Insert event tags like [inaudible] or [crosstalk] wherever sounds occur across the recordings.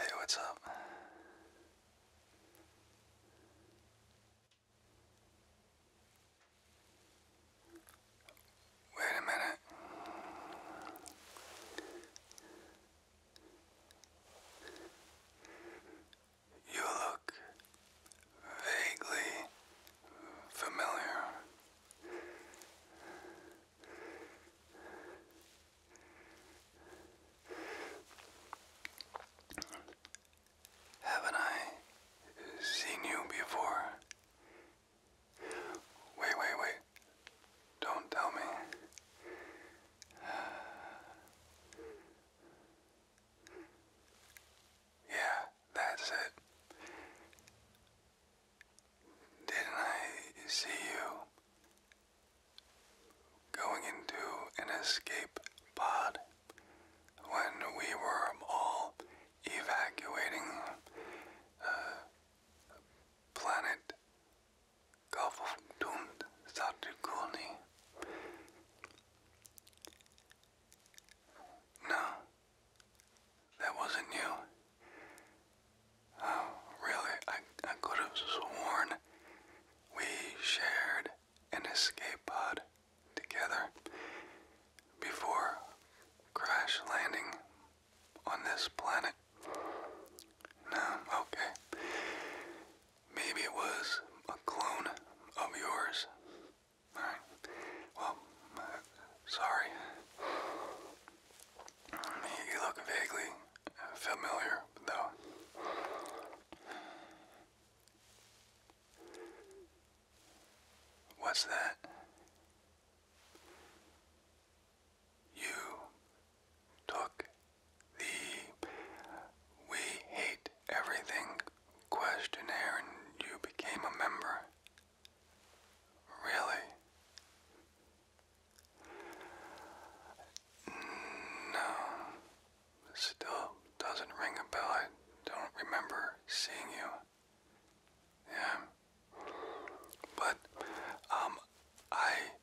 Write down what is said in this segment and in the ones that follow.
Hey, what's up? Wait a minute. You look vaguely familiar. Haven't I seen you before? Wait, wait, wait. Don't tell me. [sighs] Yeah, that's it. Didn't I see you going into an escape pod when we were all evacuating uh, planet Gulf of Dund, Satrigoni. No, that wasn't you. Oh, really? I, I could have sworn we shared an escape pod together before crash landing on this planet. No, okay. Maybe it was a clone of yours. Alright. Well, sorry. You look vaguely familiar, though. What's that? You took the We Hate Everything questionnaire and you became a member. Really? No. Still doesn't ring a bell. I don't remember seeing you. Yeah. But, um, I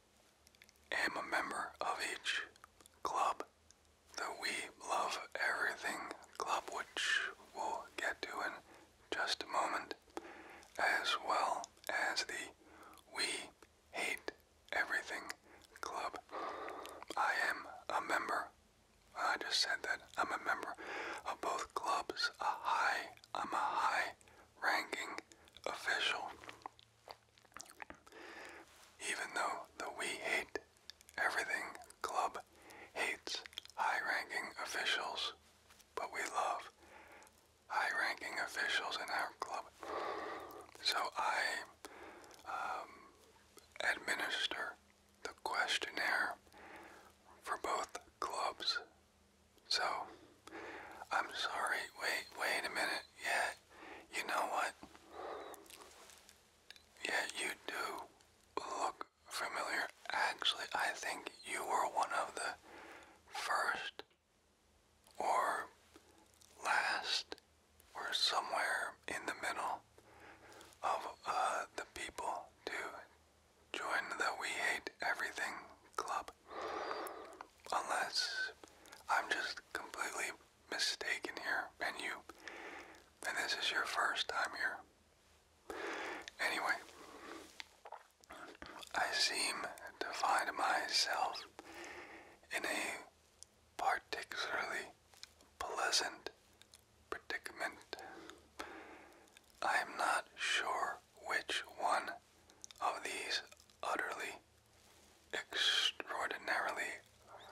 am a member of each club, the We Love Everything Club, which we'll get to in just a moment, as well as the We Hate Everything Club. I am a member. I just said that I'm a member of both clubs. A high, I'm a high ranking official even though the We Hate Everything Club hates high ranking officials, but we love high ranking officials in our club. So I um, administer the questionnaire for both clubs. So I'm sorry. Wait, wait a minute. Yeah, you know what? Yeah, you do look familiar. Actually, I think you were one of the first or last or somewhere in the middle of uh, the people to join the We Hate Everything Club. Unless I'm just completely mistaken here and you, and this is your first time here. Anyway, I seem to find myself in a particularly pleasant predicament. I am not sure which one of these utterly extraordinarily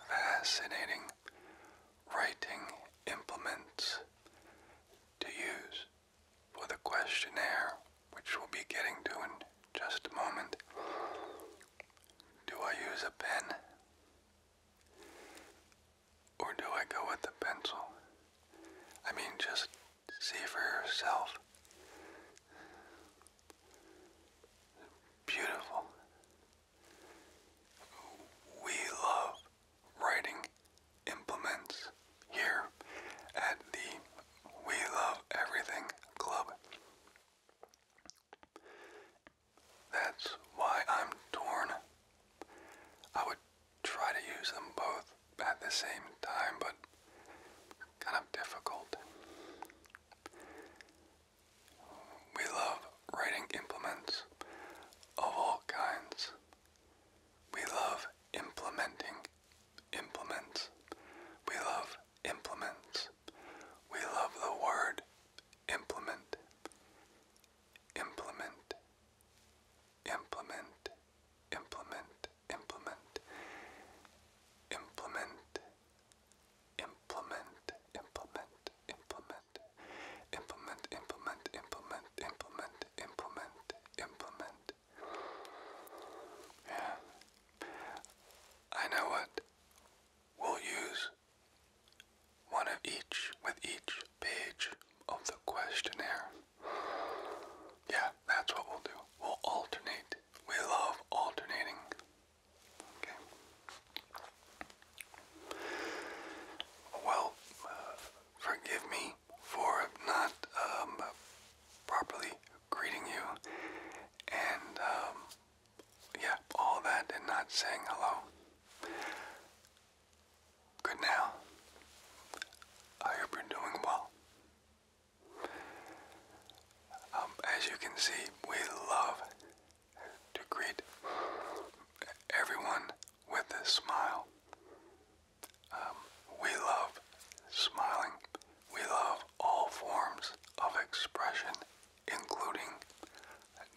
fascinating writing implements to use for the questionnaire, which we'll be getting to in just a moment. Do I use a pen? Or do I go with the pencil? I mean, just see for yourself. Beautiful. We love writing implements here at the We Love Everything Club. That's why I'm torn. I would try to use them both at the same time, but kind of difficult. We love writing implements of all kinds. We love implementing implements. We love implements. We love the word implement. Implement. Implement. Implement. Implement. Implement implement, implement, implement, implement, implement, implement, implement, implement, Yeah. I know what. We'll use one of each with each page of the questionnaire. Yeah, that's what we'll do. We'll alternate. We love alternating. Well, uh, forgive me for not um, properly greeting you, and um, yeah, all that and not saying hello. Good now. I hope you're doing well. Um, as you can see, we love to greet everyone with a smile. Um, we love smiling. We love all forms of expression, including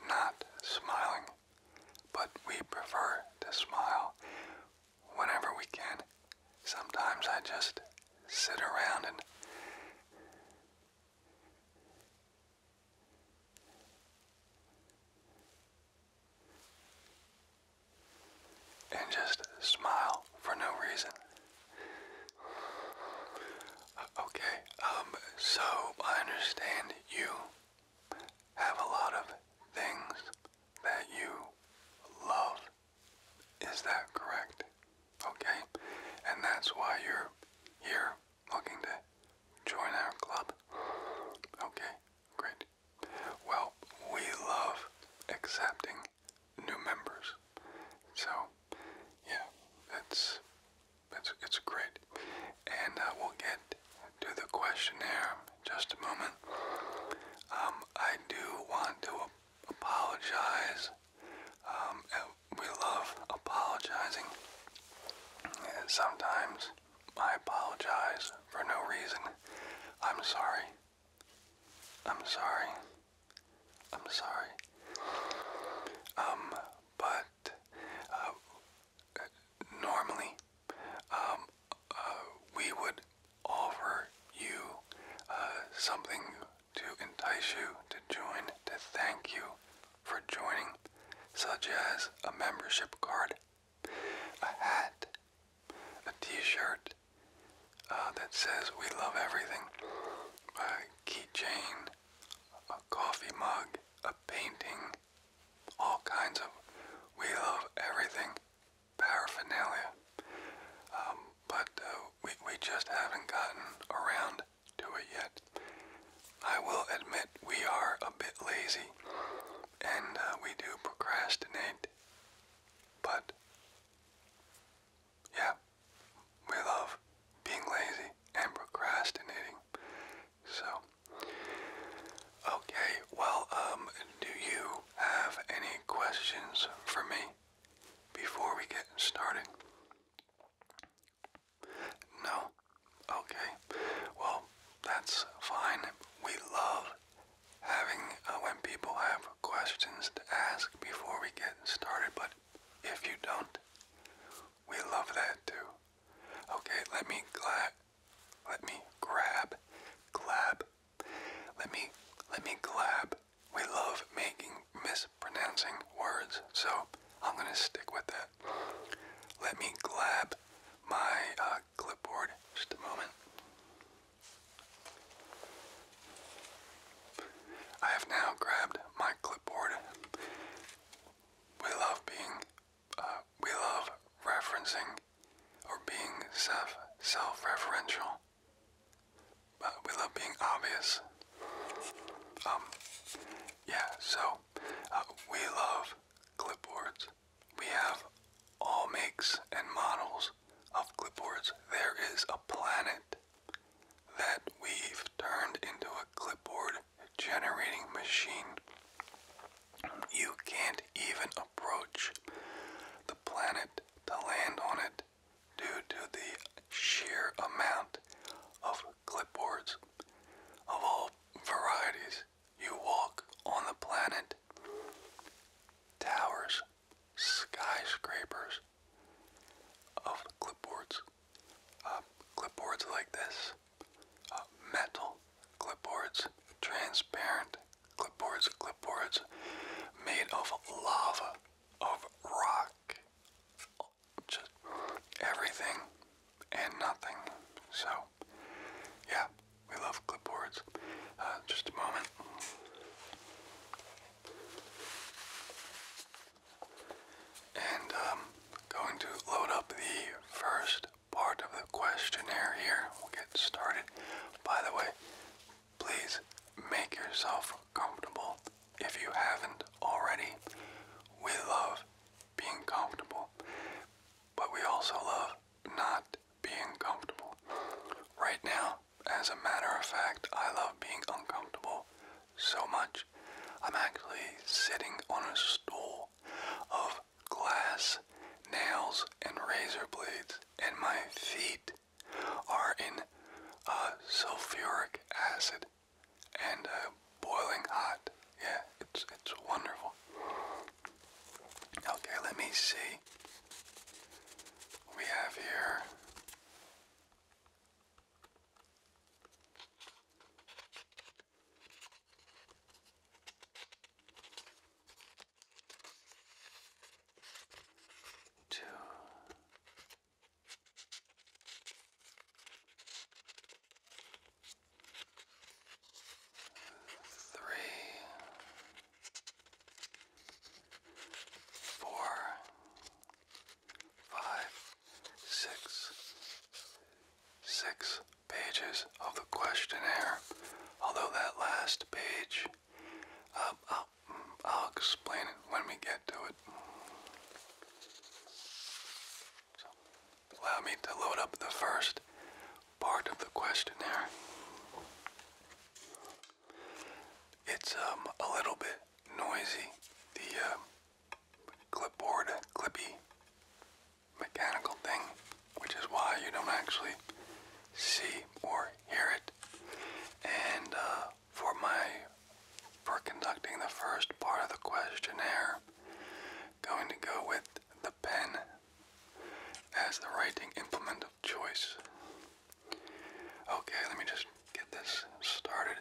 not smiling, but we prefer to smile whenever we can. Sometimes I just sit around and and just smile for no reason. Okay, um, so I understand you have a lot of things that you love is that correct? Okay, and that's why you're here looking to join our club. Okay, great. Well, we love accepting new members. So, yeah, that's that's it's great. And uh, we'll get to the questionnaire just a moment. Um, I do want to apologize um, we love apologizing. sometimes I apologize for no reason. I'm sorry. I'm sorry. I'm sorry. Um, but uh, normally, um, uh, we would offer you uh, something to entice you to join to thank you for joining, such as a membership card, a hat, a t-shirt uh, that says we love everything, a keychain, a coffee mug, a painting, all kinds of we love everything paraphernalia. Um, but uh, we, we just haven't gotten around to it yet. I will admit we are a bit lazy and uh, we do procrastinate, but yeah, we love being lazy and procrastinating. So, okay, well, um, do you have any questions for me before we get started? No? Okay. Well, that's fine. We love having uh, when people have questions to ask before we get started, but if you don't, we love that too. Okay, let me glad let me grab glab let me let me glab we love making mispronouncing words, so I'm gonna stick with that. Let me grab my uh, clipboard just a moment. I have now grabbed my clipboard. We love being, uh, we love referencing or being self self-referential. But uh, we love being obvious. Um, yeah, so uh, we love clipboards. We have all makes and models of clipboards. There is a planet that we've turned into a clipboard generating machine. You can't even approach the planet to land on it due to the sheer amount of clipboards of all varieties you walk on the planet. Towers, skyscrapers of clipboards. Uh, clipboards like this, uh, metal clipboards, transparent clipboards, clipboards made of lava, of rock, just everything and nothing. So, yeah, we love clipboards. Uh, just a moment. And I'm um, going to load up the first part of the questionnaire here. We'll get started. By the way, please make yourself comfortable if you haven't already, we love being comfortable, but we also love not being comfortable. Right now, as a matter of fact, I love being uncomfortable so much. I'm actually sitting on a stool of glass, nails, and razor blades, and my feet are in uh, sulfuric acid and uh, boiling hot. Yeah, it's it's wonderful. Okay, let me see. We have here. Two, Three, four, five, six, six pages of the questionnaire. Although that last page, um, I'll, I'll explain it when we get to it allow me to load up the first part of the questionnaire. It's um, a little bit noisy. The uh, clipboard, clippy mechanical thing, which is why you don't actually see or hear it. And uh, for my for conducting the first part of the questionnaire. Going to go with the pen as the writing implement of choice. Okay, let me just get this started.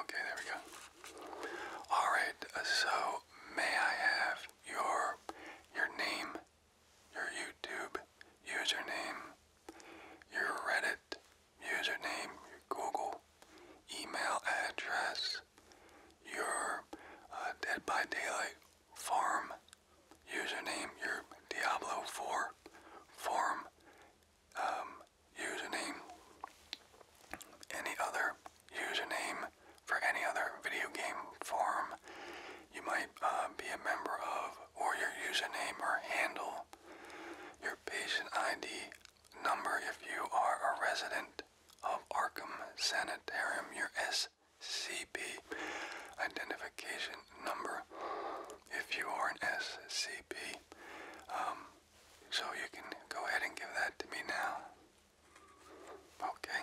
Okay, there we go. All right, so may I have your your name your YouTube username, your Reddit username, your Google email address, your uh, Dead by Daylight farm username, your Diablo 4 farm um, username, any other username for any other video game farm you might uh, be a member of or your username or handle, your patient ID number if you are a resident of Arkham Sanitarium, your SCP identification number if you are an SCP. Um, so you can go ahead and give that to me now. Okay.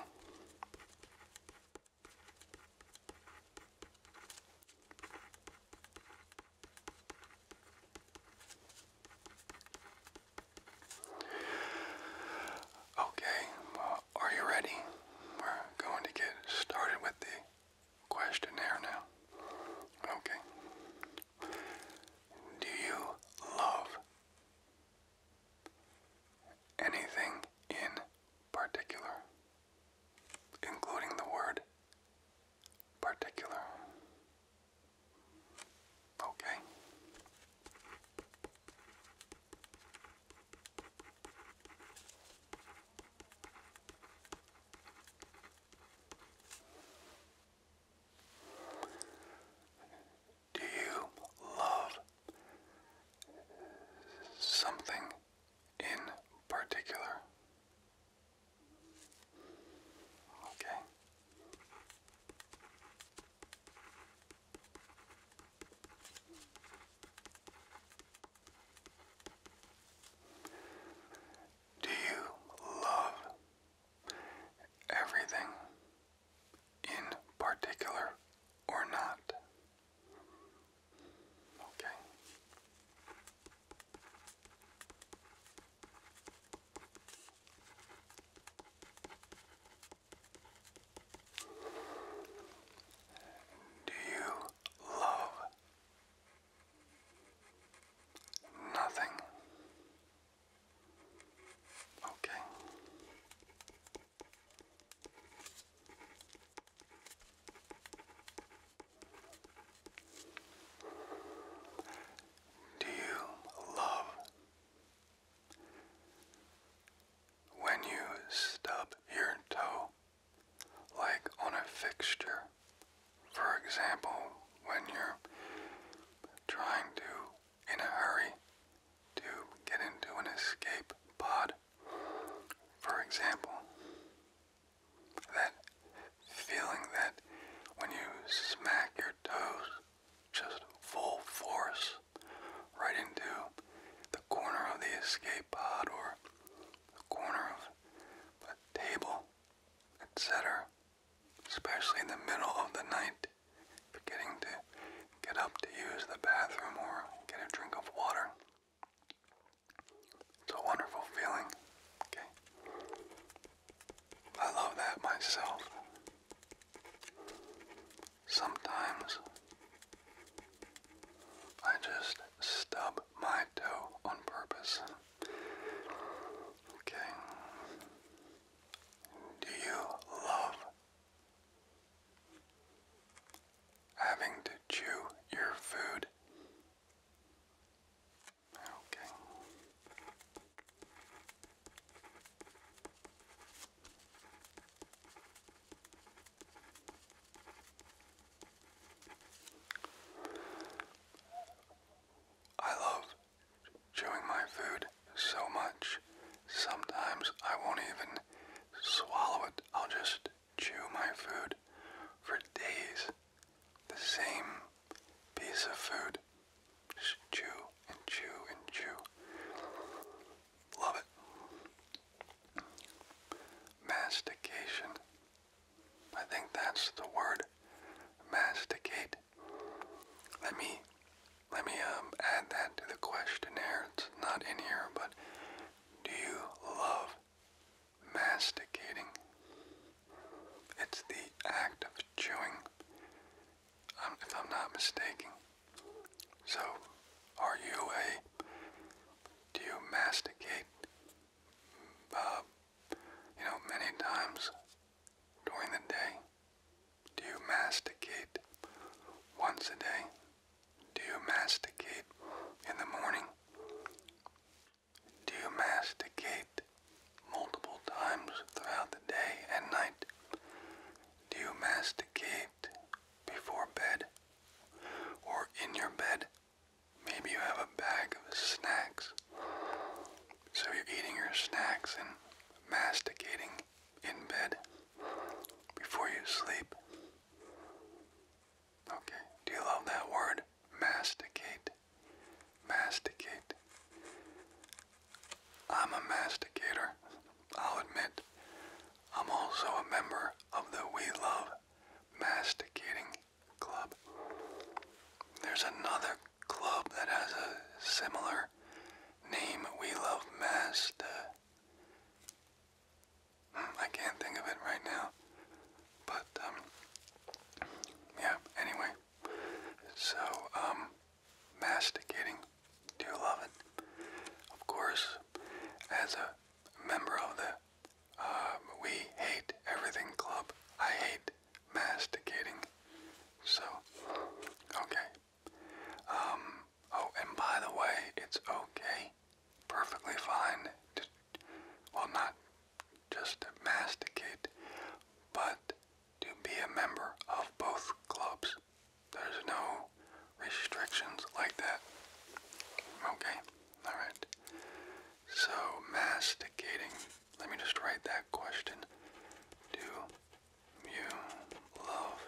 Okay, are you ready? We're going to get started with the questionnaire now. Okay. Do you love anything in particular, including the word particular. Okay. Do you love something in particular. Okay. Do you love everything in particular or not? Okay. Do you love nothing? Okay. Do you love when you stub your toe, like on a fixture? For example, when you're trying to, in a hurry, to get into an escape pod, for example, that feeling that when you smack your toes just full force right into the corner of the escape pod or the corner of a table, etc., especially in the middle of the night, forgetting to get up to use the bathroom or get a drink of water. It's a wonderful feeling. Okay. I love that myself. Sometimes I just stub my toe on purpose. Okay. Do you love having to chew your food I love chewing my food so much, sometimes I won't even swallow it. I'll just chew my food for days. The same piece of food. Just chew and chew and chew. Love it. Mastication. I think that's the word. Masticate. Let me let me um, add that to the questionnaire. It's not in here, but do you love masticating. It's the act of chewing, um, if I'm not mistaken. So, are you a, do you masticate, uh, you know, many times during the day? Do you masticate once a day? Do you masticate in the morning? Do you masticate multiple times throughout the day and night? Do you masticate before bed or in your bed? Maybe you have a bag of snacks. So you're eating your snacks and masticating in bed before you sleep. Okay. Do you love that word? Masticate. Masticate. I'm a masticator. I'll admit. I'm also a member of the We Love Masticating Club. There's another club that has a similar name. We Love Mast. I can't think of it right now. But, um, yeah, anyway. So, um, masticating. Do you love it? Of course, as a member of the uh, We Hate Everything Club, I hate masticating. So, okay. Um, oh, and by the way, it's okay, perfectly fine well, not just masticate, but to be a member of both clubs. There's no restrictions like that. Okay, alright. So, masticating. Let me just write that question. Do you love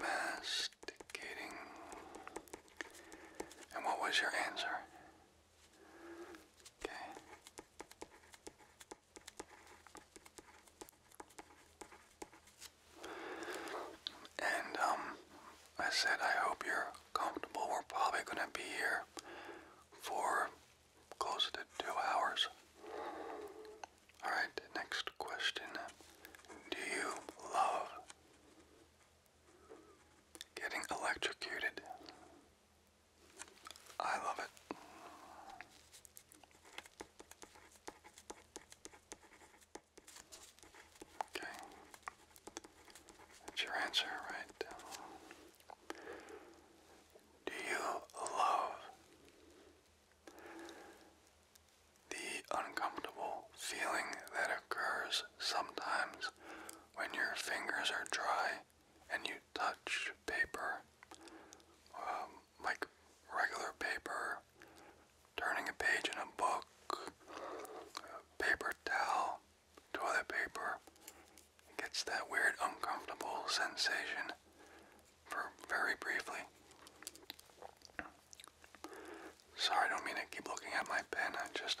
masticating? And what was your answer? Okay. And um I said I hope you're comfortable. We're probably gonna be here for close to two hours. Alright, next question. Do you love Getting electrocuted. I love it. Okay. That's your answer, right? Do you love the uncomfortable feeling that occurs sometimes when your fingers are dry and you touch paper, um, like regular paper, turning a page in a book, paper towel, toilet paper. gets that weird uncomfortable sensation for very briefly. Sorry, I don't mean to keep looking at my pen. I just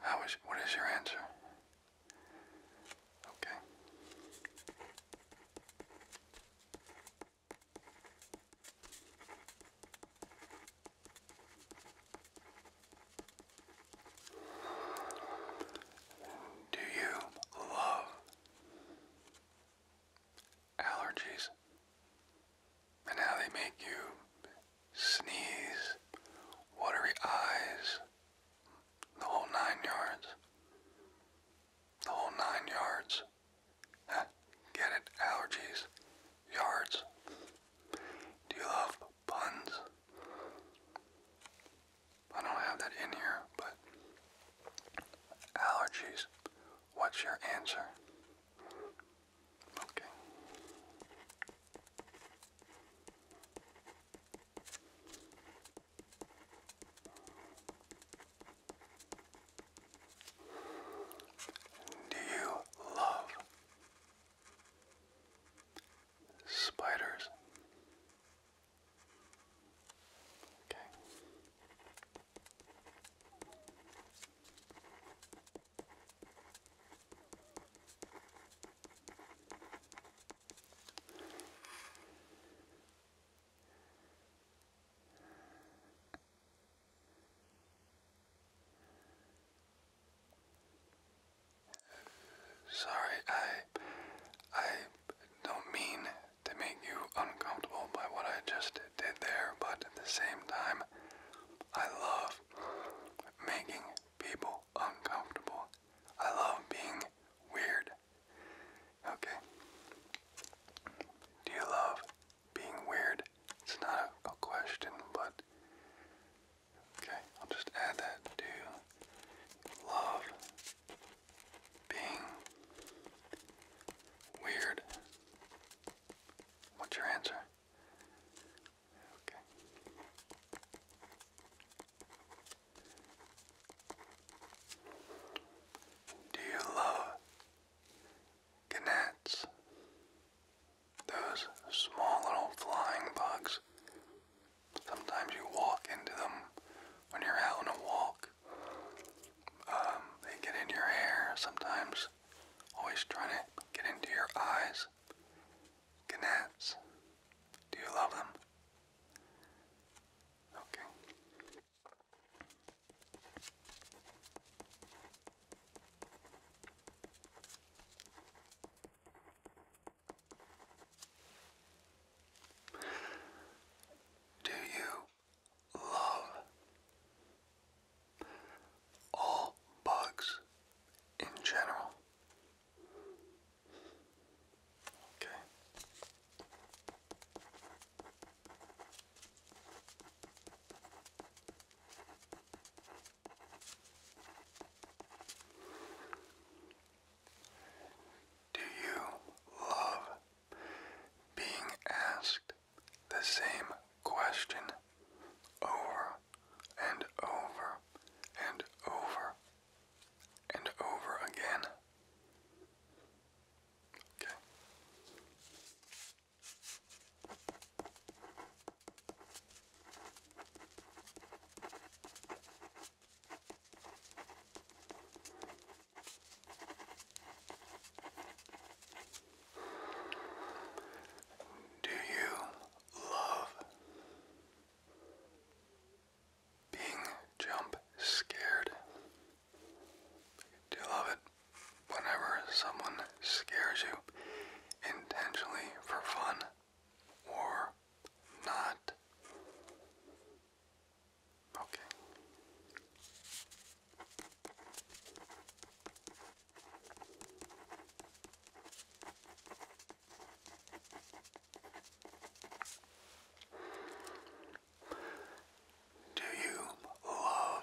How is what is your answer? Okay. Do you love allergies and how they make you sneeze, watery eyes, the whole nine yards. The whole nine yards. Get it? Allergies. Yards. Do you love puns? I don't have that in here, but allergies. What's your answer? Okay. Do you love spiders? Okay. Sorry, I I don't mean to make you uncomfortable by what I just did there, but at the same time, I love making people uncomfortable. I love being weird. Okay. Do you love being weird? It's not a, question, but. Okay, I'll just add that to love being weird. What's your answer? Do you love gnats? Those small little flying bugs. Sometimes you walk into them when you're out on a walk. Um, they get in your hair sometimes, always trying to get into your eyes. Gnats. Do you love them? Okay. Do you love all bugs in general? Okay. Do you love being asked the same question over and over and over and over again. Okay. Do you love being jump scared. Do you love it? Whenever someone scares you intentionally for fun or not. Okay. Do you love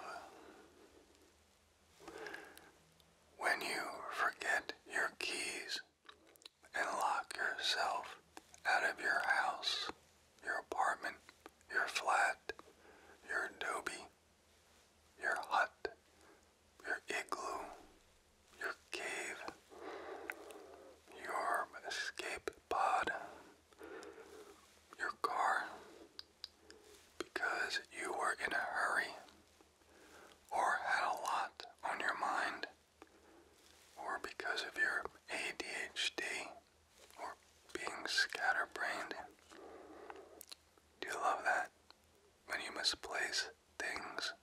when you forget your keys and lock yourself out of your house, your apartment, your flat, your adobe, your hut, your igloo, your cave, your escape pod, your car, because you were in a hurry or had a lot on your mind or because of your ADHD or being scatterbrained. Do you love that? When you misplace things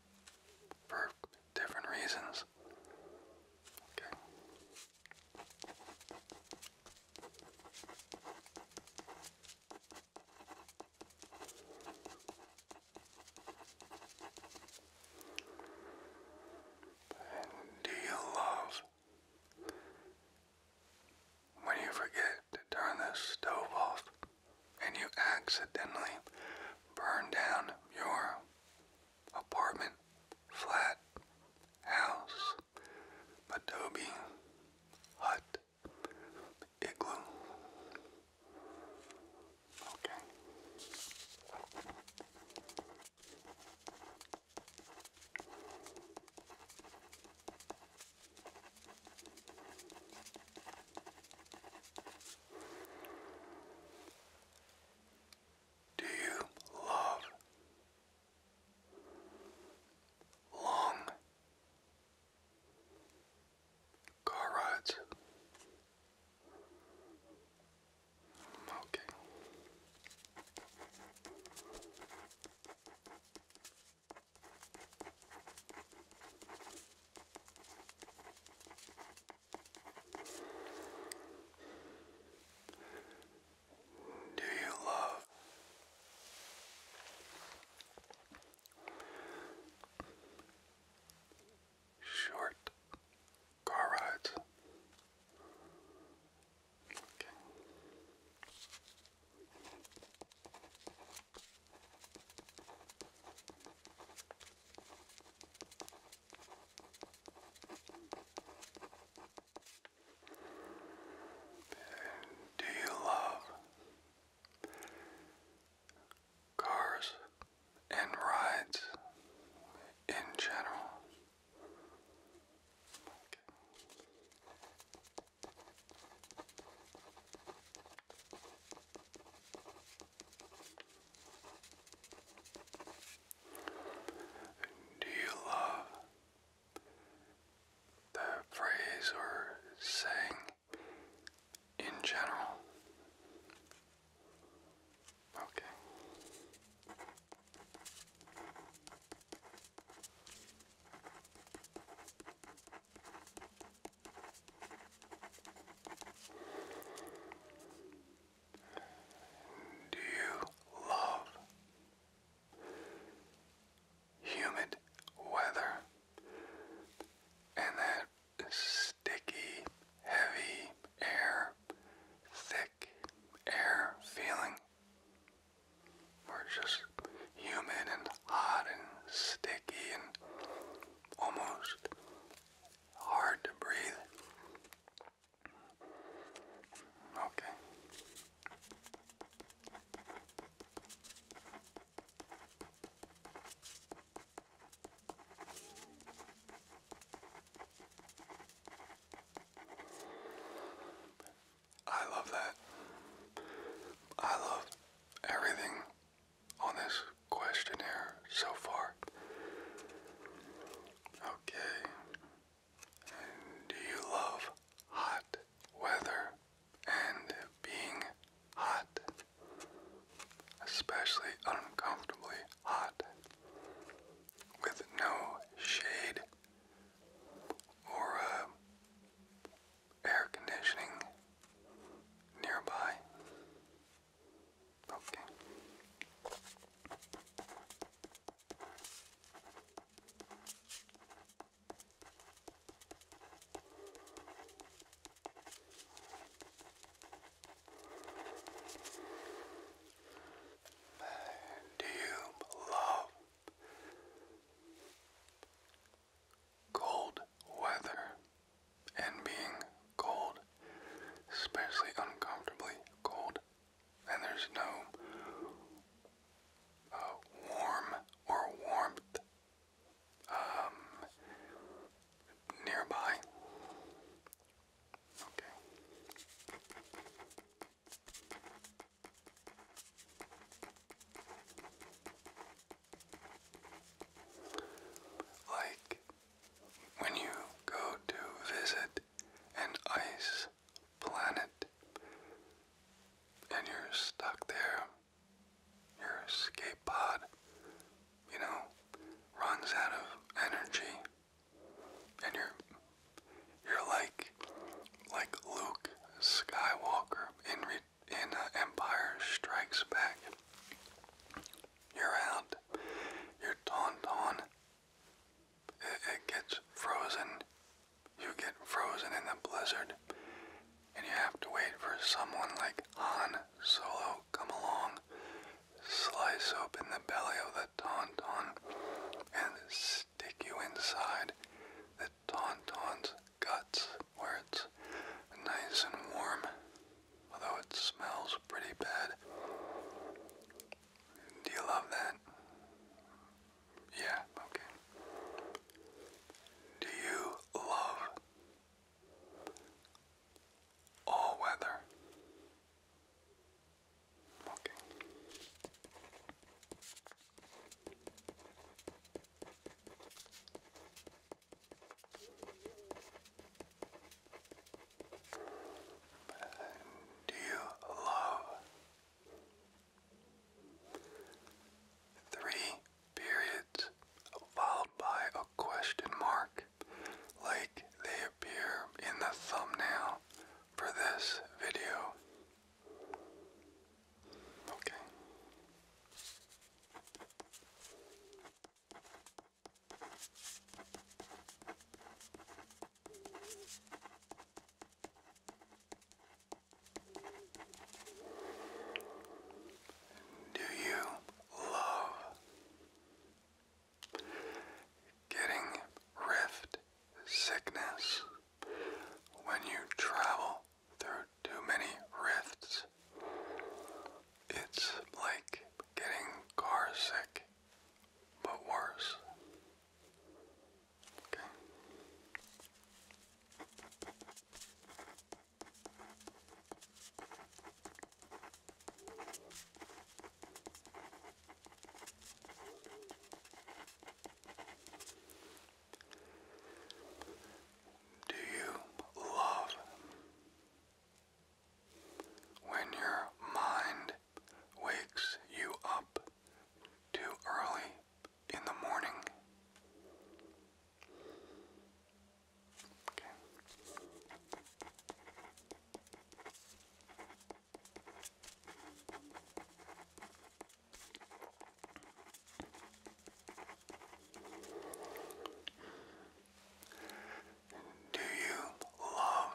for different reasons. Okay. do you love when you forget to turn the stove off? and you accidentally burn down your apartment, flat, house, adobe, hut, igloo. Okay. Do you love long car rides? Okay. Do you love short car rides? Do you love cars and rides in general? Do you love the phrase or saying in general? Okay. Do you love humid weather and that sticky, heavy air, thick air feeling? Where it's just humid and hot and sticky and almost hard to breathe. Okay. I love that. I love everything on this questionnaire so far. Okay. do you love hot weather and being hot? Especially uncomfortably hot with no shade or uh, air conditioning nearby. Okay. Do you love cold weather and being cold, especially uncomfortably cold, and there's no uh, or warmth um, nearby. Okay. Like when you go to visit an ice planet and you're stuck there, your escape pod, you know, runs out of energy and you're you're like like Luke Skywalker in in uh, Empire Strikes Back you're out. Your tauntaun, it, it gets frozen. You get frozen in the blizzard, and you have to wait for someone like Han Solo come along, slice open the belly of the tauntaun, and stick you inside the tauntaun's guts where it's nice and warm although it smells pretty bad. Do you love that? Yeah, okay. Do you love all weather? Okay. Do you love three periods followed by a question mark like they appear in the thumbnail for this video? Okay. Do you love getting rift sickness when you travel through too many rifts? It's like getting carsick, but worse. Okay. Do you love when your mind wakes you up too early in the morning. Do you love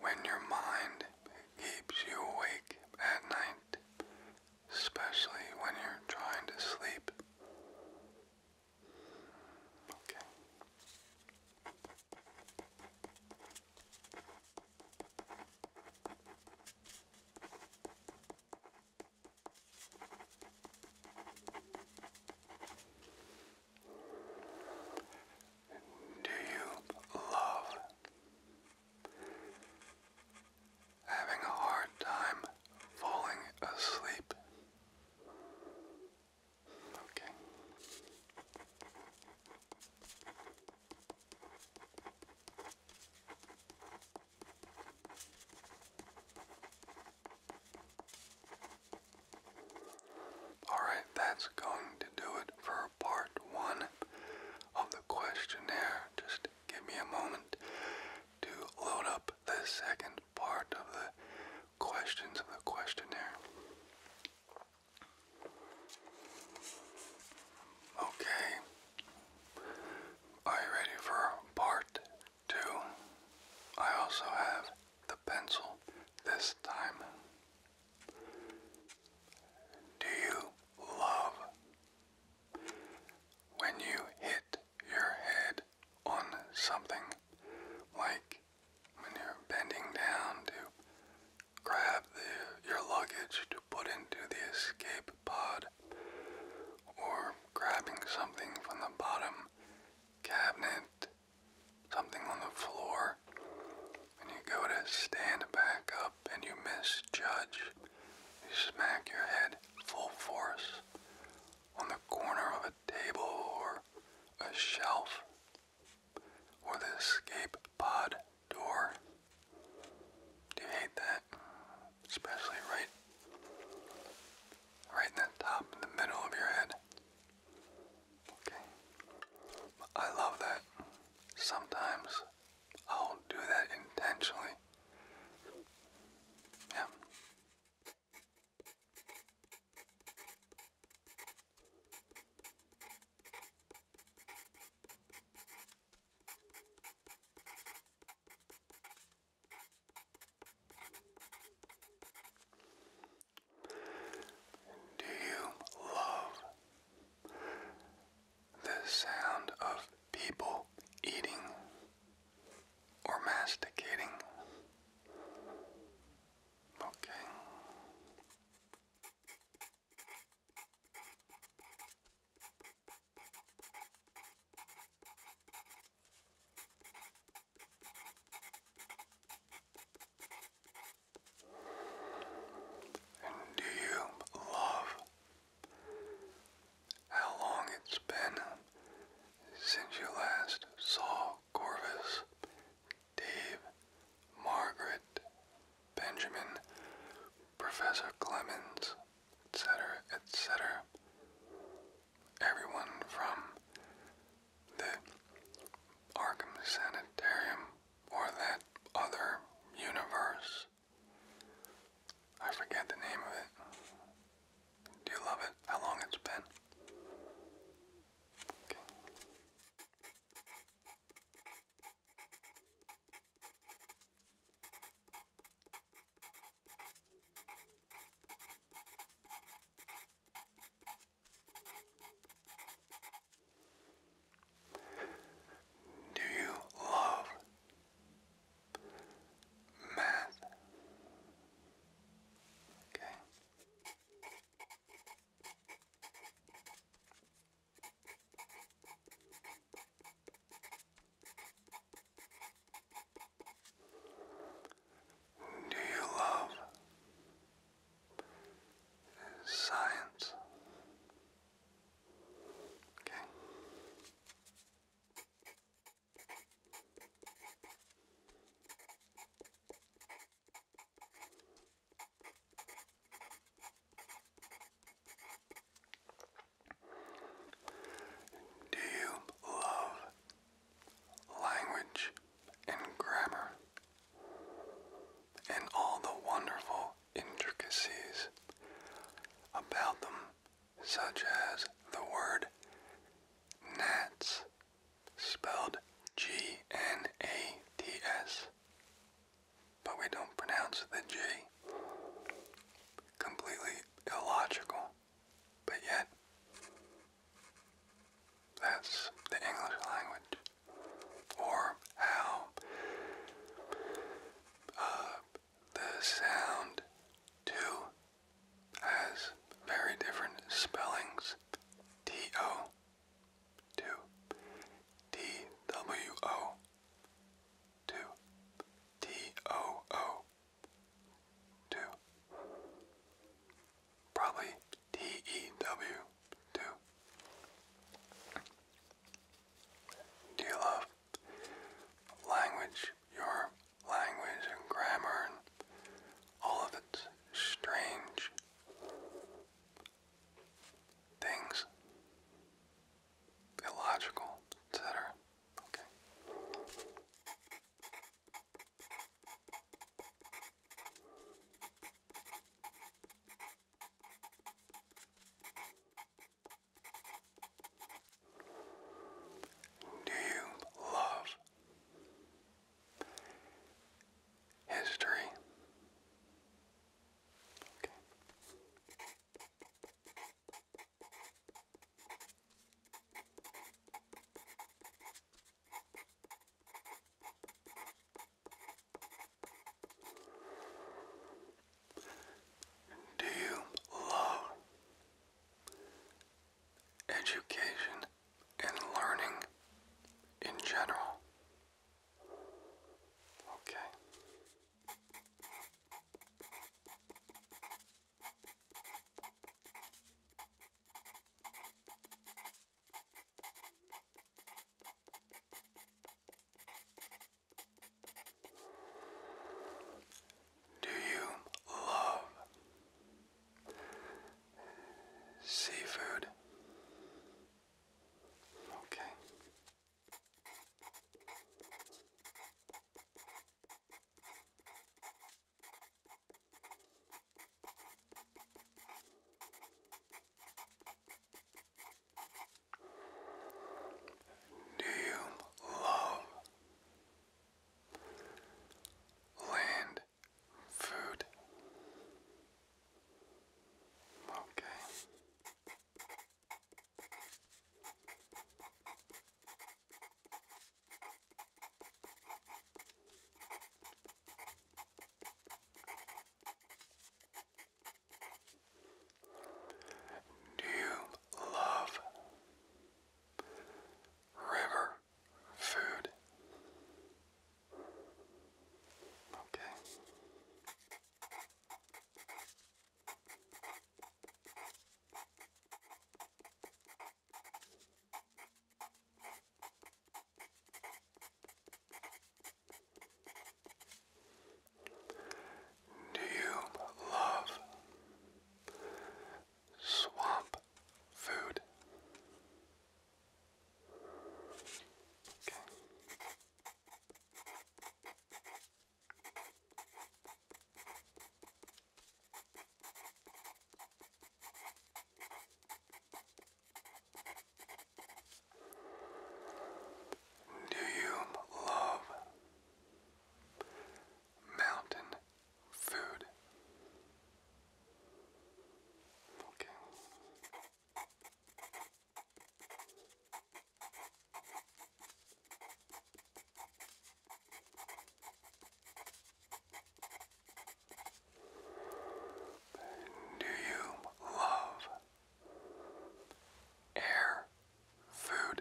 when your mind keeps you awake at night, especially when you're trying to sleep? Okay. Do you love having a hard time falling asleep? Okay. Alright, that's going to do it for part one of the questionnaire. Just give me a moment to load up the second part of the questions of the questionnaire. Okay. Are you ready for part Two, I also have the pencil this time. Do you love when you hit your head on something like when you're bending down to grab your luggage to put into the escape pod or grabbing something from the bottom cabinet, something on the floor, and you go to stand back up and you misjudge. You smack your head full force on the corner of a table or a shelf or the escape pod door. Do you hate that? Especially right right in the top, in the middle of your head. Okay. I love that. Sometimes I'll do that intentionally. Yeah. Do you love the sound of people eating or masticating? Okay. And do you love how long it's been since you last saw Corvus, Dave, Margaret, Benjamin, Professor Clemens, etc., etc.? everyone from the Arkham Sanitarium or that other universe. I forget the name of it. Do you love it? How long it's been? Do you love math? Okay. Do you love science? Okay. Do you love language, and grammar, and all the wonderful intricacies about them, such as the word gnats, spelled G-N-A-T-S, but we don't pronounce the G. Completely illogical. But yet, that's the English language. Or how uh, the sound two has very different spellings. T-O, two. T-W-O, two. T-O-O, two. Probably T E W two. Do you love language, your language and grammar and all of its strange things? Illogical, etc. Okay. Do you love history? Do you love education and learning in general? Okay. Do you love seafood? Okay. Do you love land food? Okay. Do you love river food? Okay. Do you love swamp food? Do you love mountain food? Okay. Do you love air food?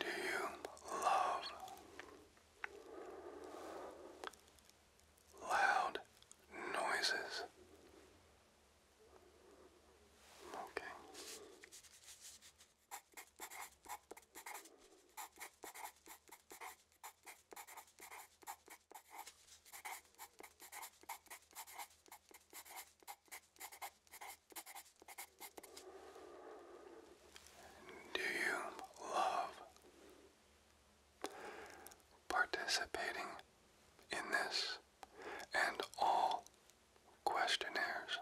Do you love loud noises. Okay. Do you love participating in this and all questionnaires?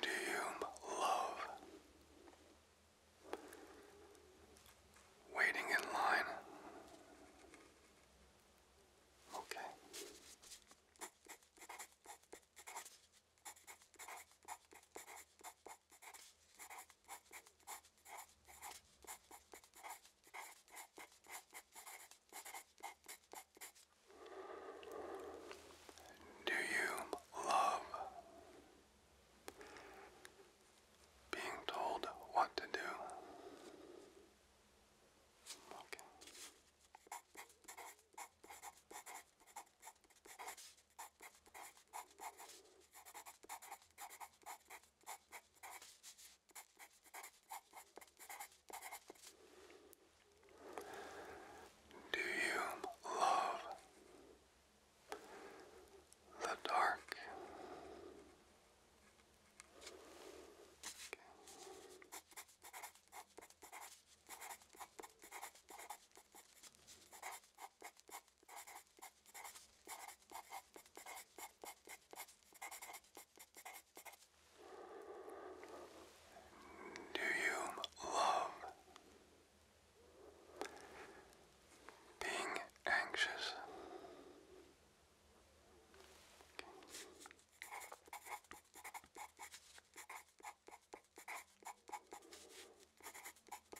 Do you love waiting in line? Okay. Do you love being told what to do? Do you love the dark? Do you love being anxious?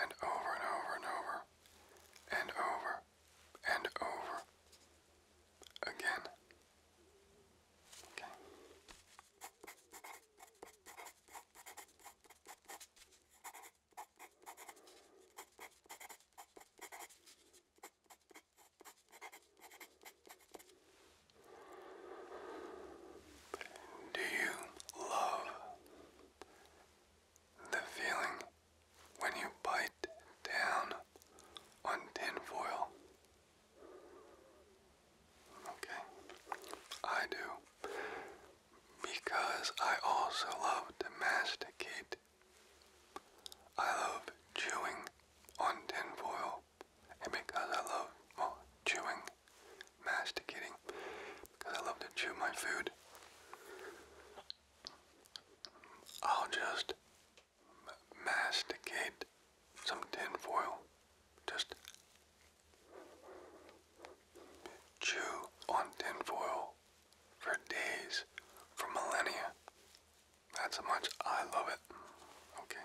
and over and over and over and over and over again. Okay. Do you love the feeling when you bite down on tinfoil. Okay, I do. Because I also love to masticate. I love chewing on tinfoil. And because I love chewing masticating because I love to chew my food. I'll just masticate some tin foil. Just chew on tin foil for days, for millennia. That's how much I love it. Okay.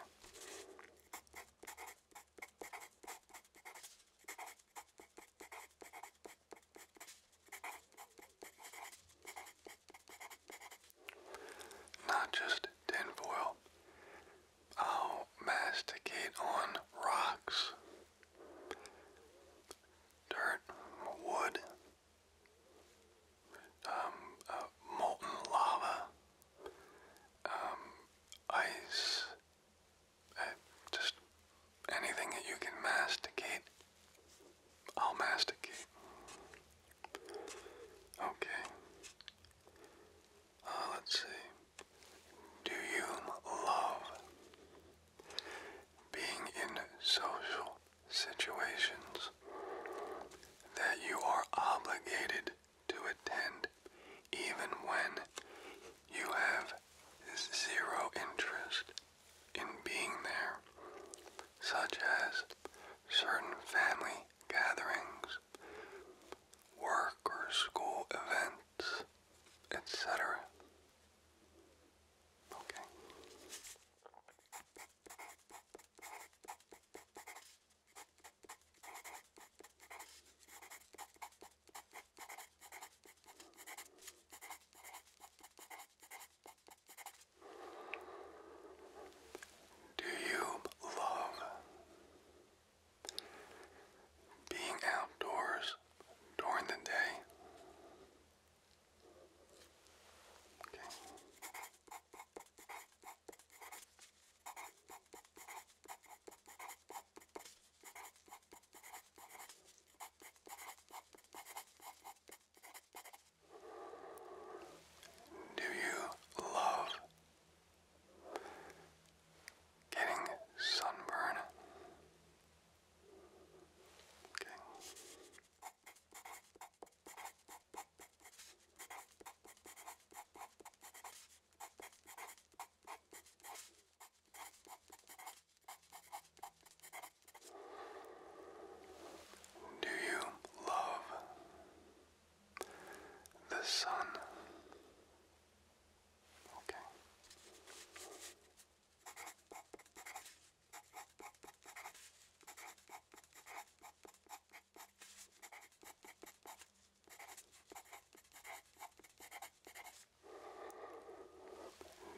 Not just tinfoil. I'll masticate on rocks, dirt, wood, um, uh, molten lava, um, ice, uh, just anything that you can masticate, I'll masticate. Okay. Uh, let's see. Do you love being in social situations that you are obligated to attend even when you have have zero interest in being there, such as certain family gatherings, work or school events, etc. Okay. Do you love being outdoors during the day? Do you love getting sunburn? Okay. Do you love the sun? Okay.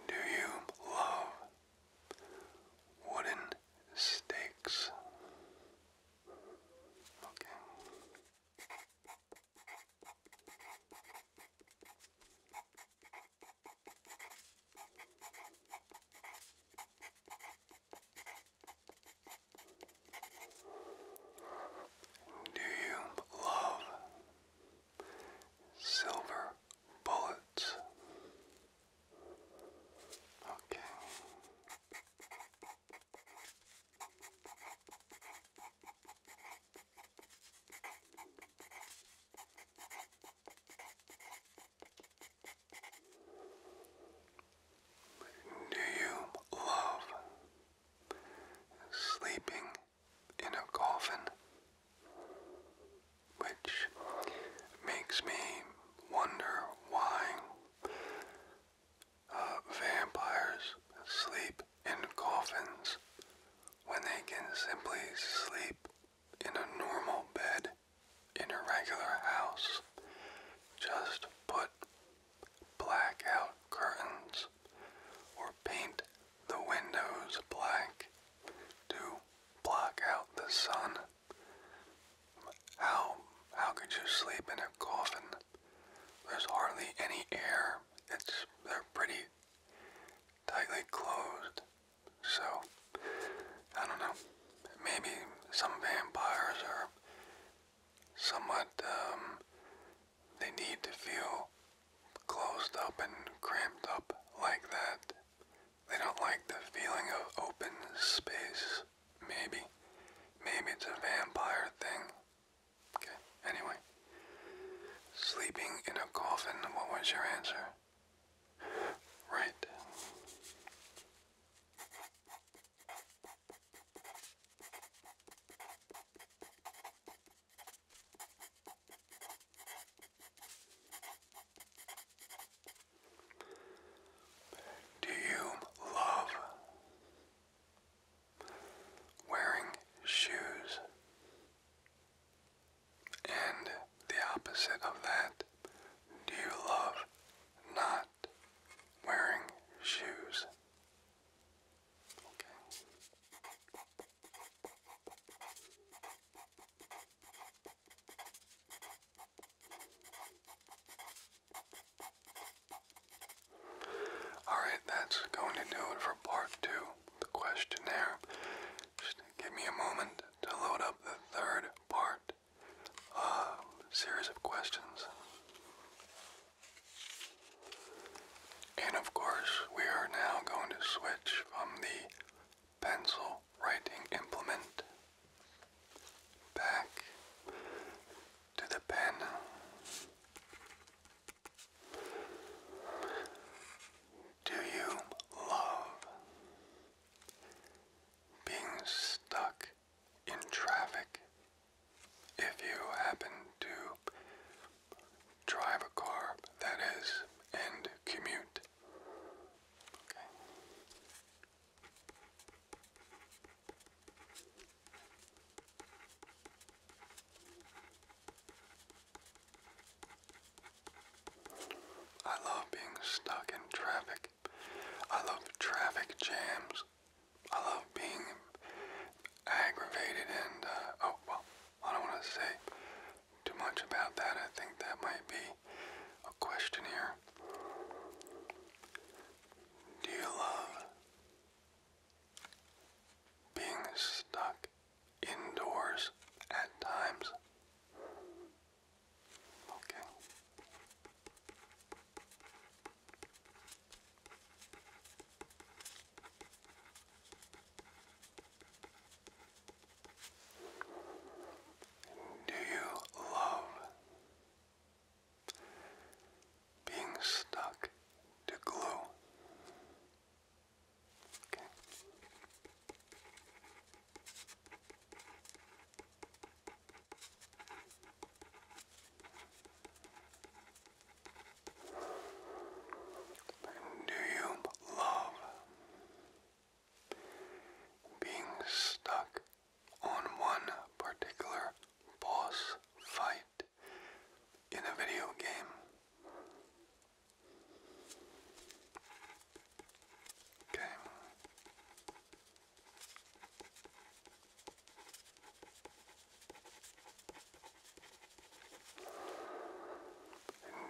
Do you love wooden stakes? Okay. Do you love silver bullets. Okay. Do you love sleeping in a coffin, which makes me wonder why uh, vampires sleep in coffins when they can simply sleep in a normal bed in a regular house. Just put blackout curtains or paint the windows black to block out the sun. How how could you sleep in a coffin? There's hardly any air. It's they're pretty tightly closed. So I don't know. Maybe some vampires are somewhat um, they need to feel closed up and cramped up like that. They don't like the feeling of open space. Maybe. Maybe it's a vampire thing. Okay, anyway. Sleeping in a coffin, what was your answer? Right. Do you love wearing shoes? And the opposite of that, do you love not wearing shoes? Alright, that's going to do it for part two, the questionnaire. Just give me a moment to load up the third part, uh, series of questions. And of course, we are now going to switch from the pencil writing implement back to the pen. Do you love being stuck in traffic? If you happen to drive a car, that is, and commute. Okay. I love being stuck in traffic. I love traffic jams. I love being aggravated and, uh, oh, well, I don't want to say too much about that. I think that might be a question here. Do you love being stuck indoors at times? Okay. Do you love being stuck to glue? Do you love being stuck on one particular boss fight in a video game?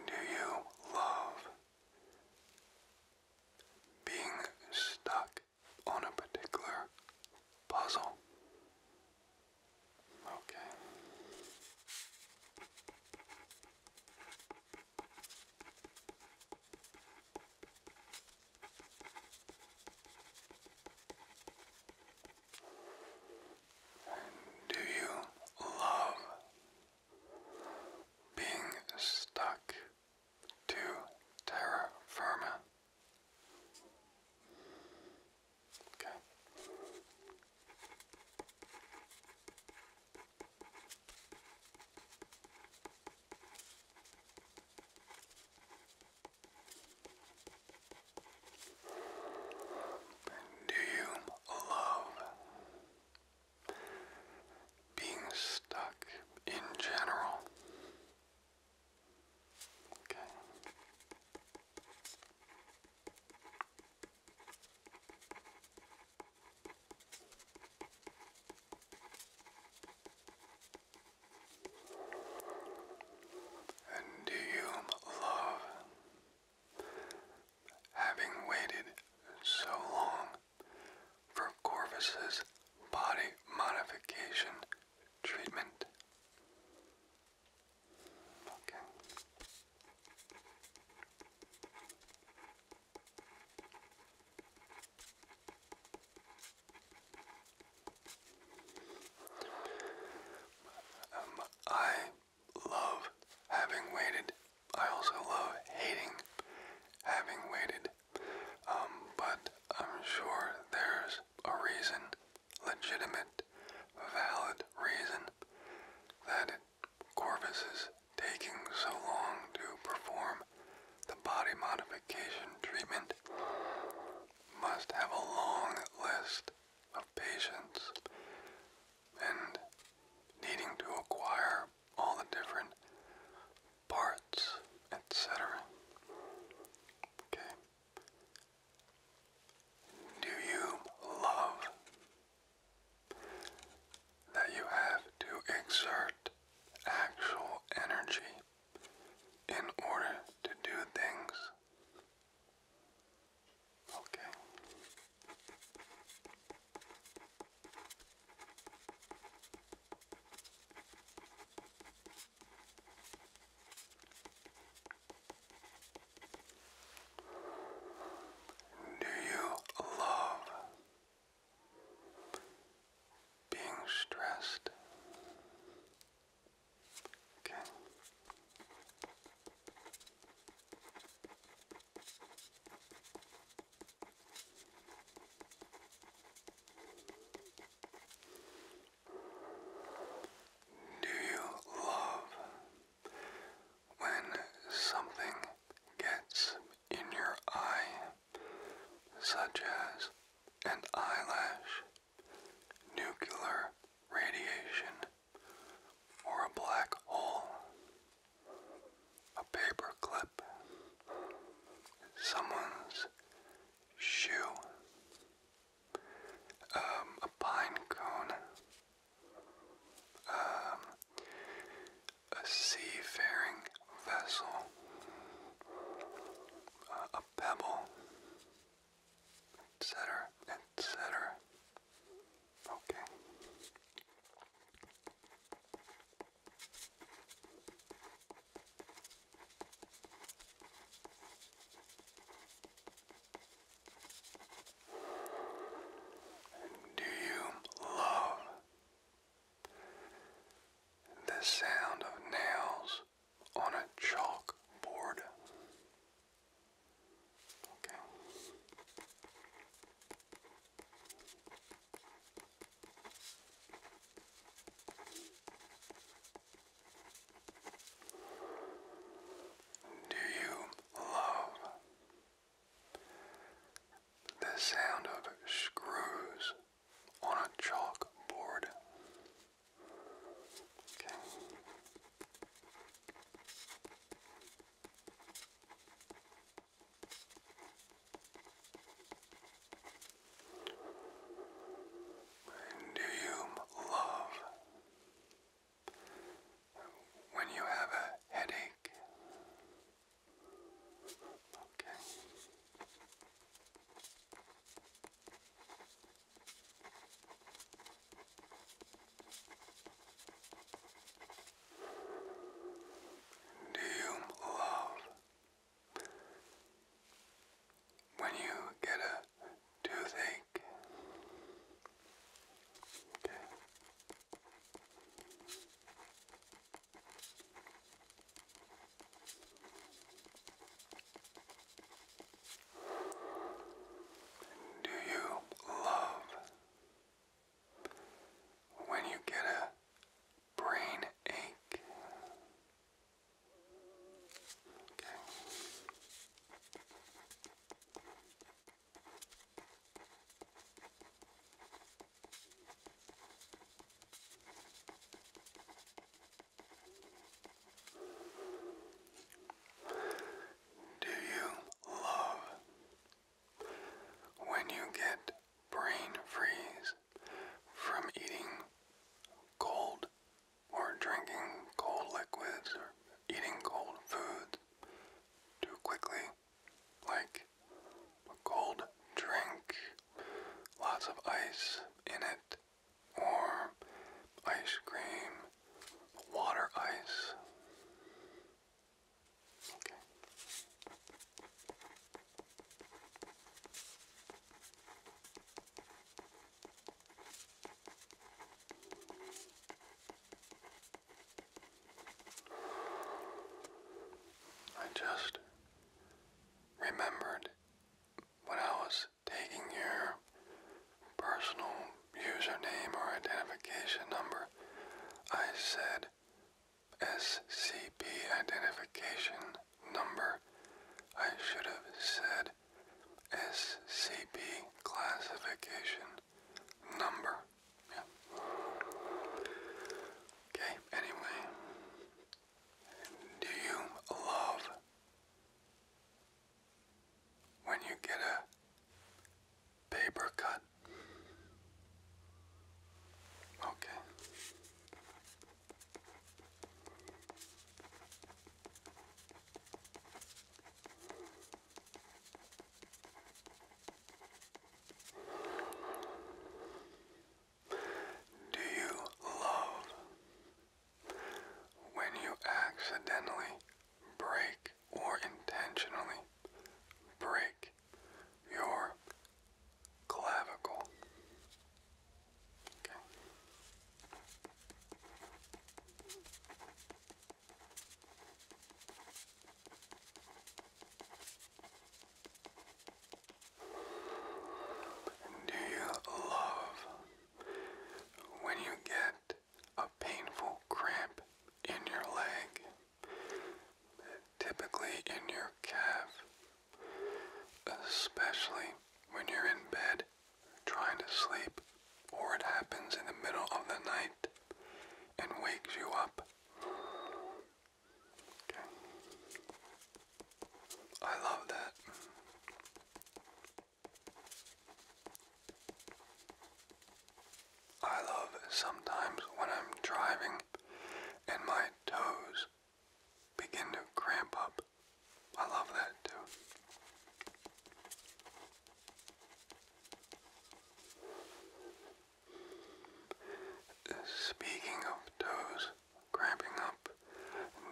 Do you love being stuck on a particular puzzle? Okay. Do you love being stuck to terra firma? Okay. Do you love being stuck in general? Okay. And do you love Having waited so long for Corvus's body modification treatment. Okay. Um, I love having waited. I also love hating having waited. Um, but I'm sure there's a reason, legitimate, valid reason, that Corvus is taking so long to perform the body modification treatment. Must have a long list of patients and needing to acquire all the different parts, etc. Okay. Do you love that you have to exert actual energy in order to do things? Okay. Do you love being stressed? Okay. Do you love when something gets in your eye, such as an eyelash, nuclear radiation, or a black hole. A paper Someone's shoe. Um, a pine cone. Um, a seafaring vessel. Uh, a pebble. Etc etc. Okay. Do you love the sound of nails on a chalkboard? Okay. Do you love the sound of screws on a chalkboard? And do you love when you have a headache? Okay. Do you love when you get a toothache? Do you love when you get a brain ache. Okay. Do you love when you get brain freeze from eating cold or drinking cold liquids or eating cold foods too quickly, like a cold drink, lots of ice in it, or ice cream, water ice. Okay. I just remembered when I was taking your personal username or identification number, I said SCP identification number. I should have said SCP classification number. Yeah. Okay, anyway, do you love when you get a paper cut? Okay. Do you love when you accidentally break or intentionally break your clavicle. Okay. do you love when you get a painful cramp in your leg? typically in your calf, especially when you're in bed trying to sleep, or it happens in the middle of the night and wakes you up. Okay. I love that. I love sometimes when I'm driving and my toes begin to cramp up. I love that too. Speaking of toes cramping up,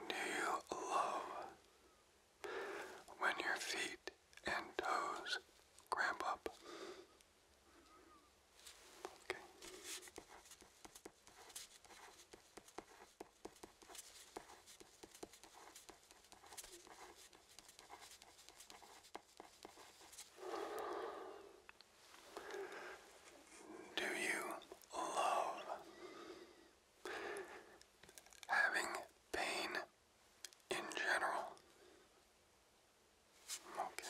do you love when your feet and toes cramp up. Okay. Do you love having pain in general. Okay.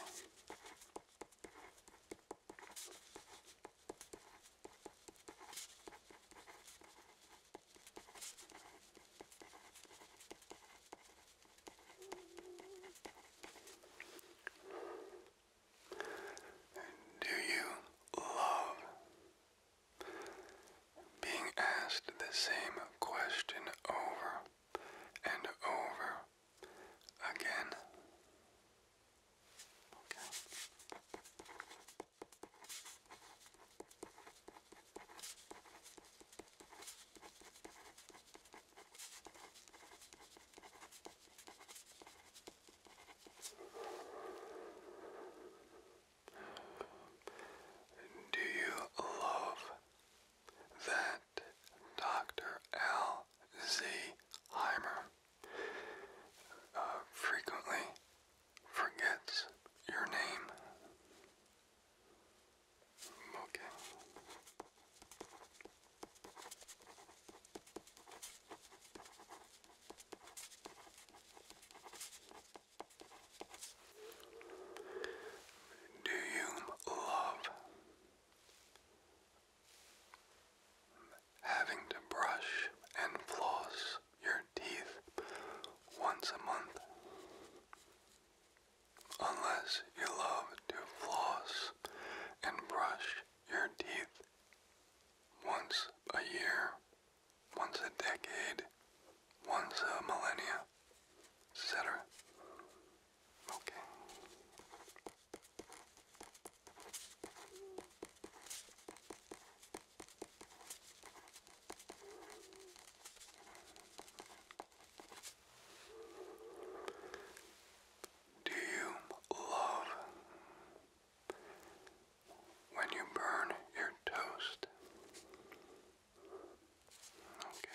Do you love being asked the same question over and over again. Do you love that Dr. L. Z. Heimer uh, frequently forgets your name. Okay. Do you love having to brush and floss your teeth once a month? Unless you love to floss and brush your teeth once a year, once a decade, once a millennia, etc. Okay. Do you love when you burn your toast? Okay.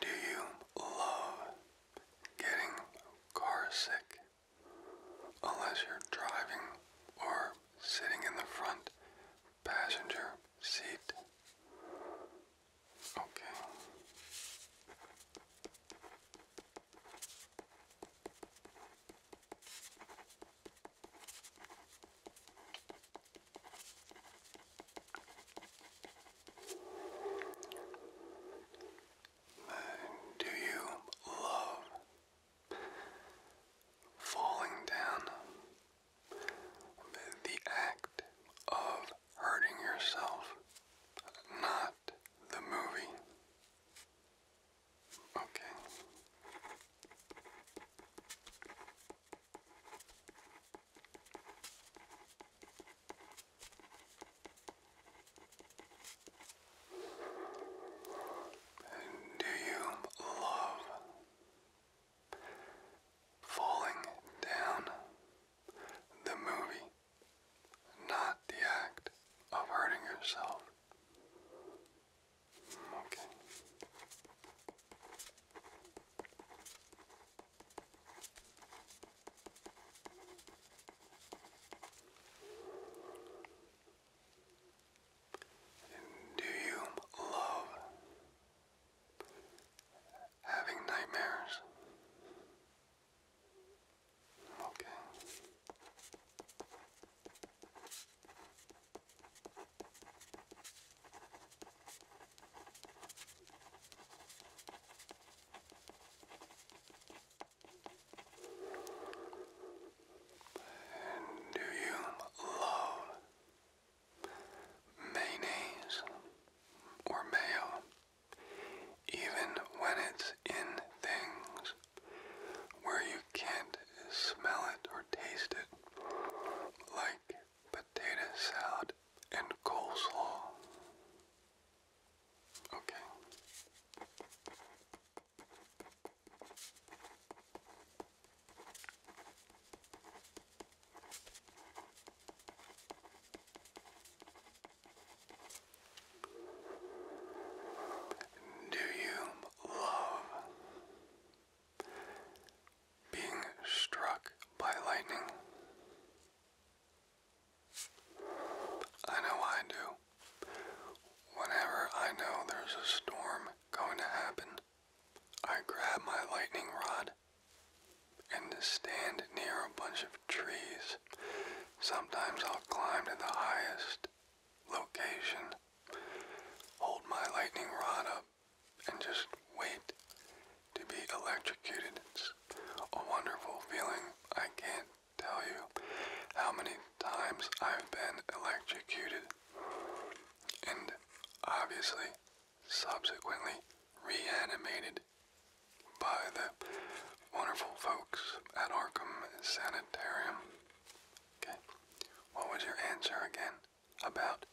Do you love getting car Unless you're driving or sitting in the front passenger seat. Okay. Do you love falling down the act of hurting yourself, not the movie. Okay. Do you love Falling down. The movie, not the act of hurting yourself. Okay. Do you love having nightmares. Okay. do you love mayonnaise, or mayo, even when it's in things where you can't smell it or taste it, like potato salad and coleslaw. Okay. Do you love being struck by lightning? I know I do. Whenever I know there's a storm going to happen, I grab my lightning rod and to stand near a bunch of trees. Sometimes I'll climb to the highest location, hold my lightning rod up, and just wait to be electrocuted. It's a wonderful feeling. I can't tell you how many times I've been electrocuted. And obviously, subsequently reanimated by the wonderful folks at Arkham Sanitarium. Okay, what was your answer again about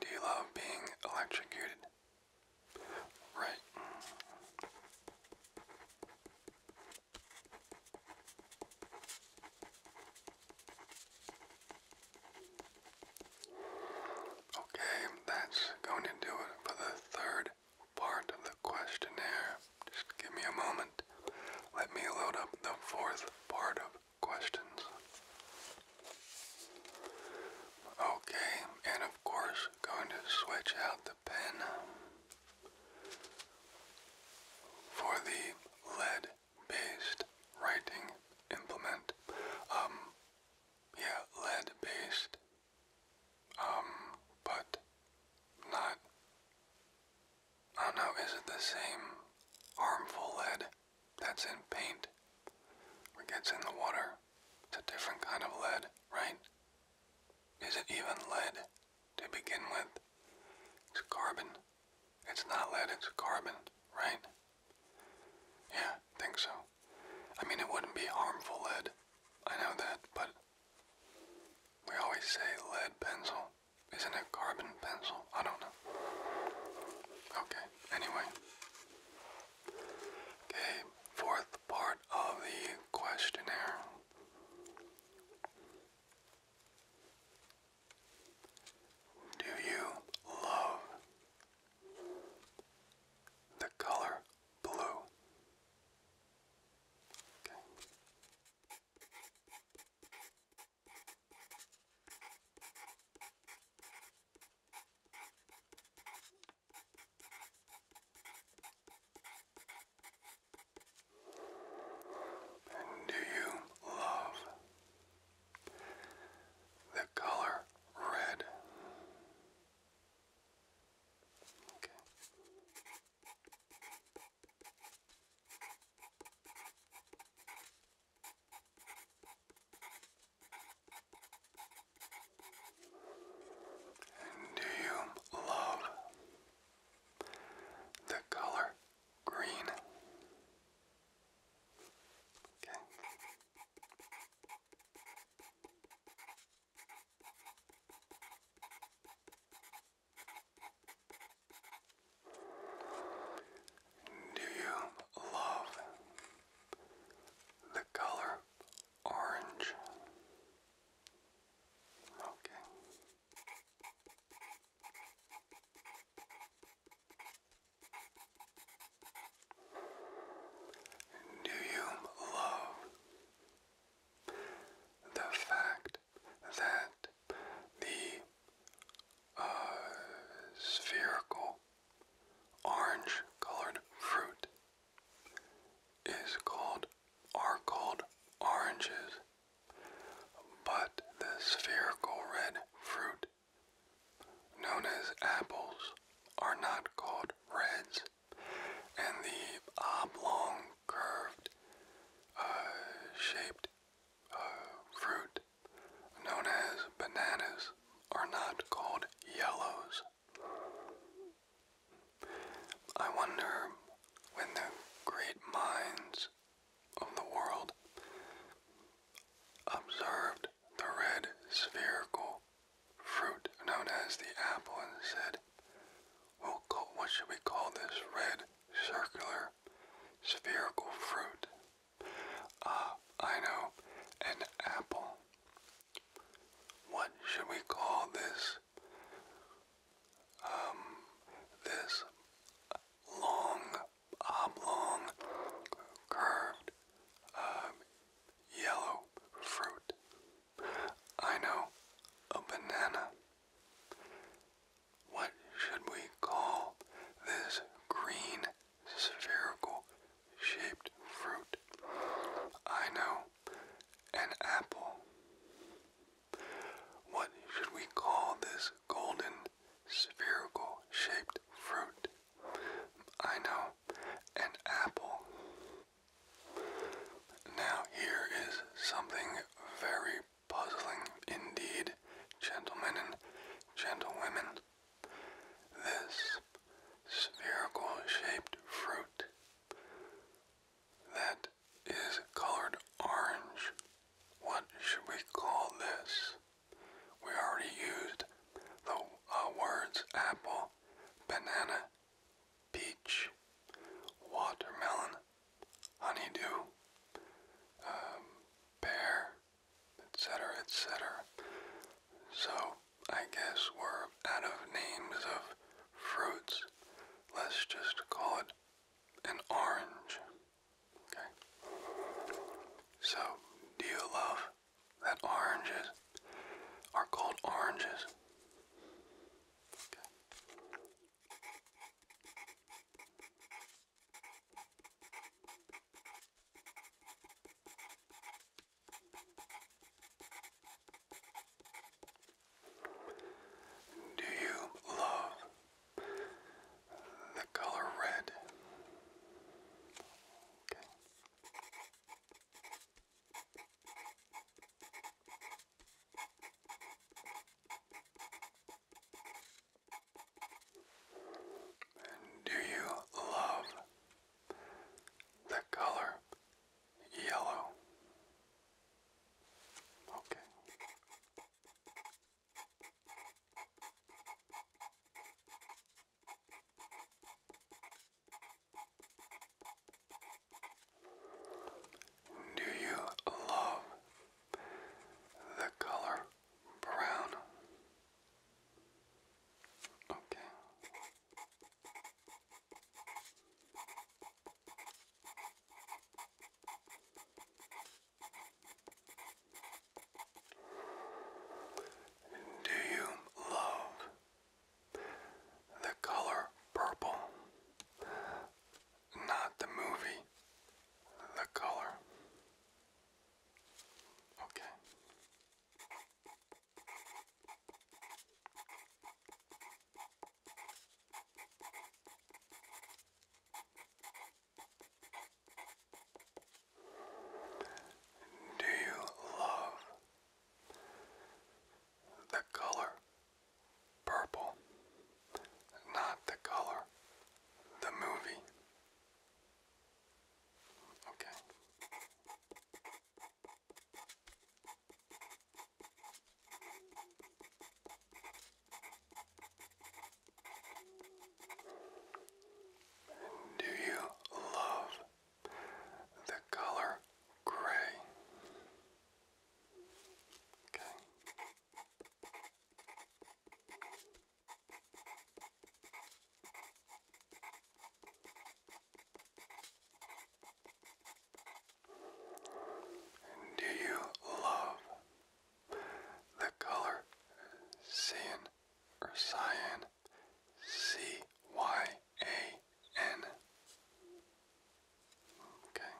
do you love being electrocuted? Right. Okay, that's going to do it for the third part of the questionnaire. Just give me a moment. Let me load up the fourth part of questions. Okay, and of course, going to switch out the pen for the lead-based writing implement. Um, yeah, lead based, um, but not, I do is it the same harmful lead that's in paint or gets in the water? It's a different kind of lead, right? Is it even lead to begin with? It's carbon. It's not lead, it's carbon, right? Yeah, think so. I mean, it wouldn't be harmful lead. I know that, but we always say lead pencil. Isn't it carbon pencil? I don't know. Okay, anyway. Okay, fourth part of the questionnaire. Do you love the color blue. Okay. do you love the color red? Okay. do you love the color green? Do you love the color orange? Okay. Do you love the fact that the uh, spherical orange colored fruit is called are called oranges but the spherical red fruit known as apples are not called reds and the oblong, curved, uh, shaped uh, fruit known as bananas are not called yellows. I wonder when the great minds of the world observed the red spherical fruit known as the apple and said, will call, what should we call this red circular spherical fruit? Ah, I know, an apple. What should we call this? Um, this long, oblong, curved, uh, yellow fruit. I know, a banana. What should we call this green spherical shaped fruit? I know, an apple. What should we call this golden spherical shaped fruit? I know, an apple. Now, here is something very puzzling indeed, gentlemen and gentlewomen. This spherical shaped fruit that is colored orange. What should we call this? We already used the uh, words apple, banana, peach, watermelon, honeydew, um, pear, etc., etc. So I guess we're out of names of fruits. Let's just call it an orange. Okay. So, do you love that oranges are called oranges. Do you love the color red? Do you love the color yellow? Okay. Do you love the color brown? Okay. Do you love the color purple. Not the movie, the color. Okay. Do you love the color purple, not the color, the movie. Okay. Do you love the color gray. Okay. do you love the color cyan or cyan? C Y a-N. Okay.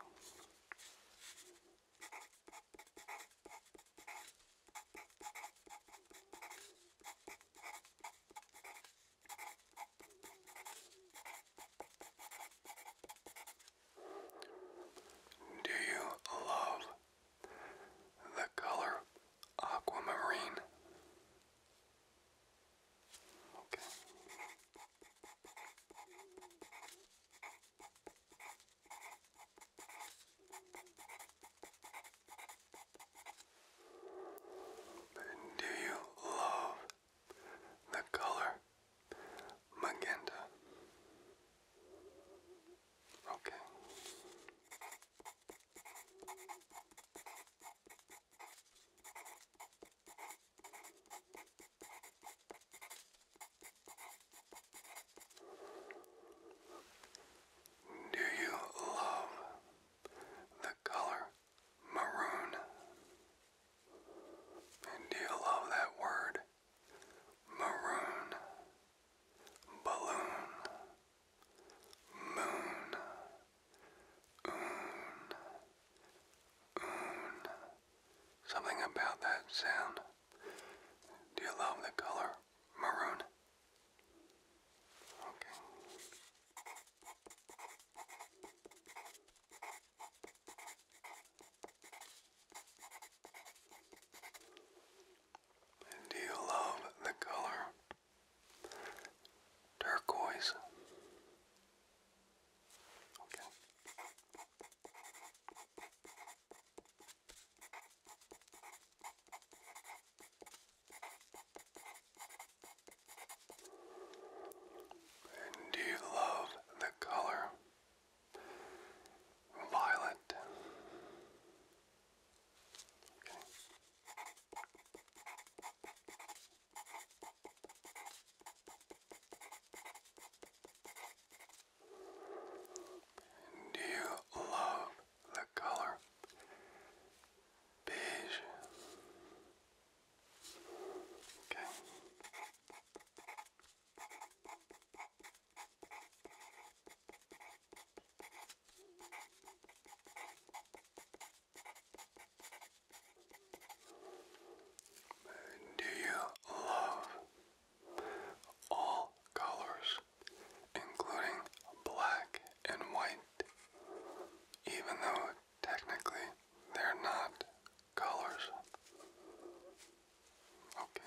Do you love the color aquamarine? Okay. Do you love the color magenta? Okay. Do you love the color maroon? And do you love that word? Maroon, balloon, moon, oon, oon. Something about that sound. Do you love the color maroon? Okay. do you love the color turquoise. Okay. do you love the color violet? Okay. Do you love the color beige? Okay. Do you love all colors, including black and white, even though technically they're not colors? Okay.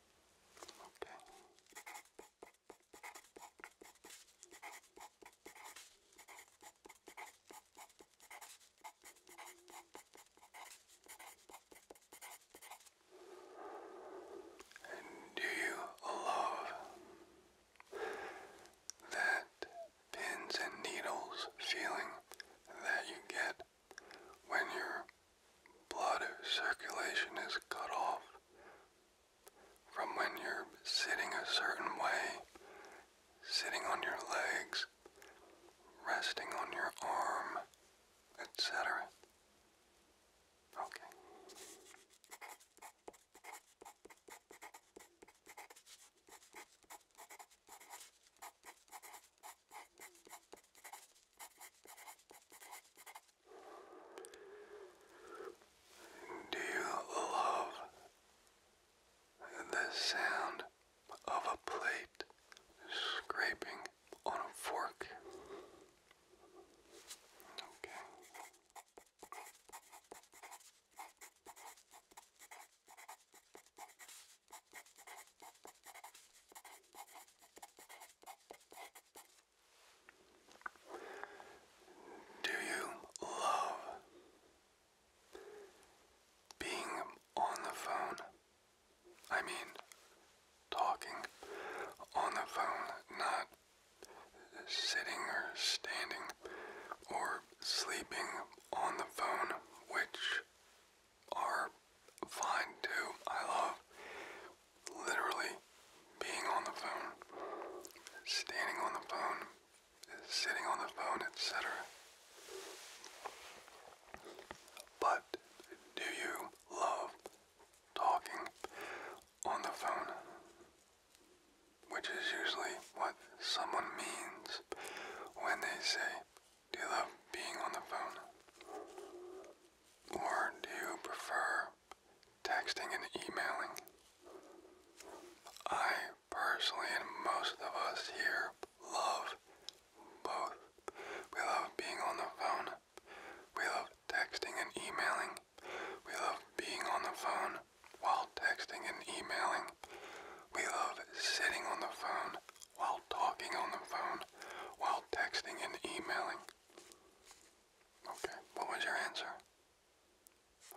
Okay. do you love that pins and needles feeling that you get when your blood circulation is cut off from when you're sitting a certain way, sitting on your legs, resting on your arm, etc. Okay. Do you love the sound of a plate scraping on a fork? Do you love being on the phone? I mean, talking on the phone, not sitting or standing or sleeping on the phone, which are fine too. I love literally being on the phone, standing on the phone, sitting on the phone, etc. But do you love talking on the phone? Which is usually what someone means when they say, Do you love being on the phone? Or do you prefer texting and emailing? I personally, and most of us here, love both. We love being on the phone. We love texting and emailing. We love being on the phone while texting and emailing. We love sitting on the phone while talking on the phone while texting and emailing. Okay, what was your answer?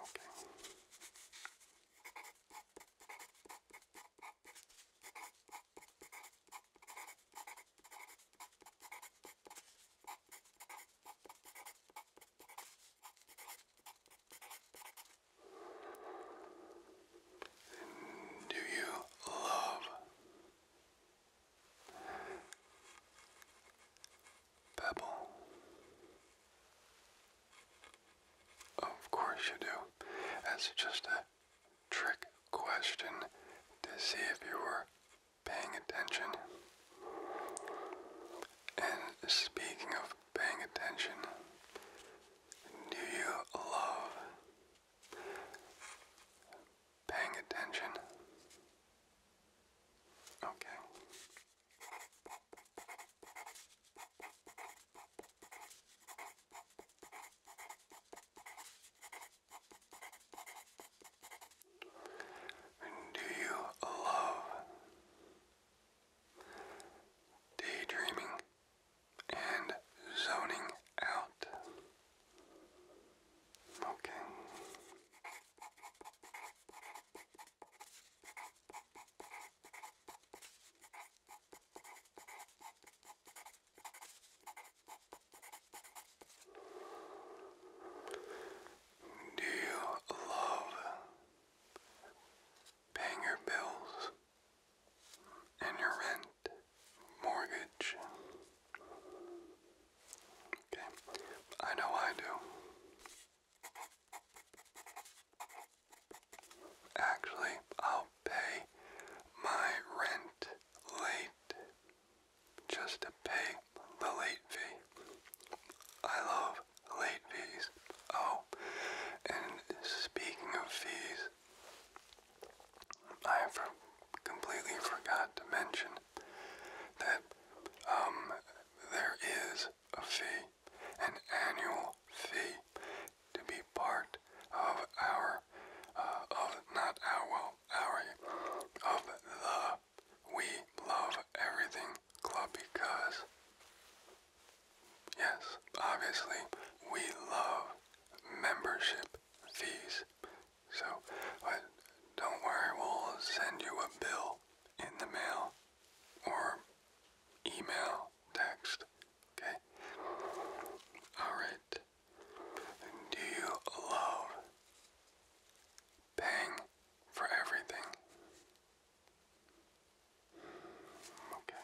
Okay. Do you love Pebble. Of course you do. That's just a trick question to see if you were paying attention. And speaking of paying attention, do you love paying attention. Okay. Do you love daydreaming and zoning out? Okay. Do you love paying your bills and your rent? mortgage. Okay, I know I do. Actually, I'll pay my rent late just to pay the late fee. I love late fees. Oh, and speaking of fees, I completely forgot to mention that um, there is a fee, an annual fee, to be part of our, uh, of not our, well, our, of the We Love Everything Club because, yes, obviously, we love membership fees. So, but uh, don't worry, we'll send you a bill in the mail or email, text, okay? Alright. Do you love paying for everything? Okay.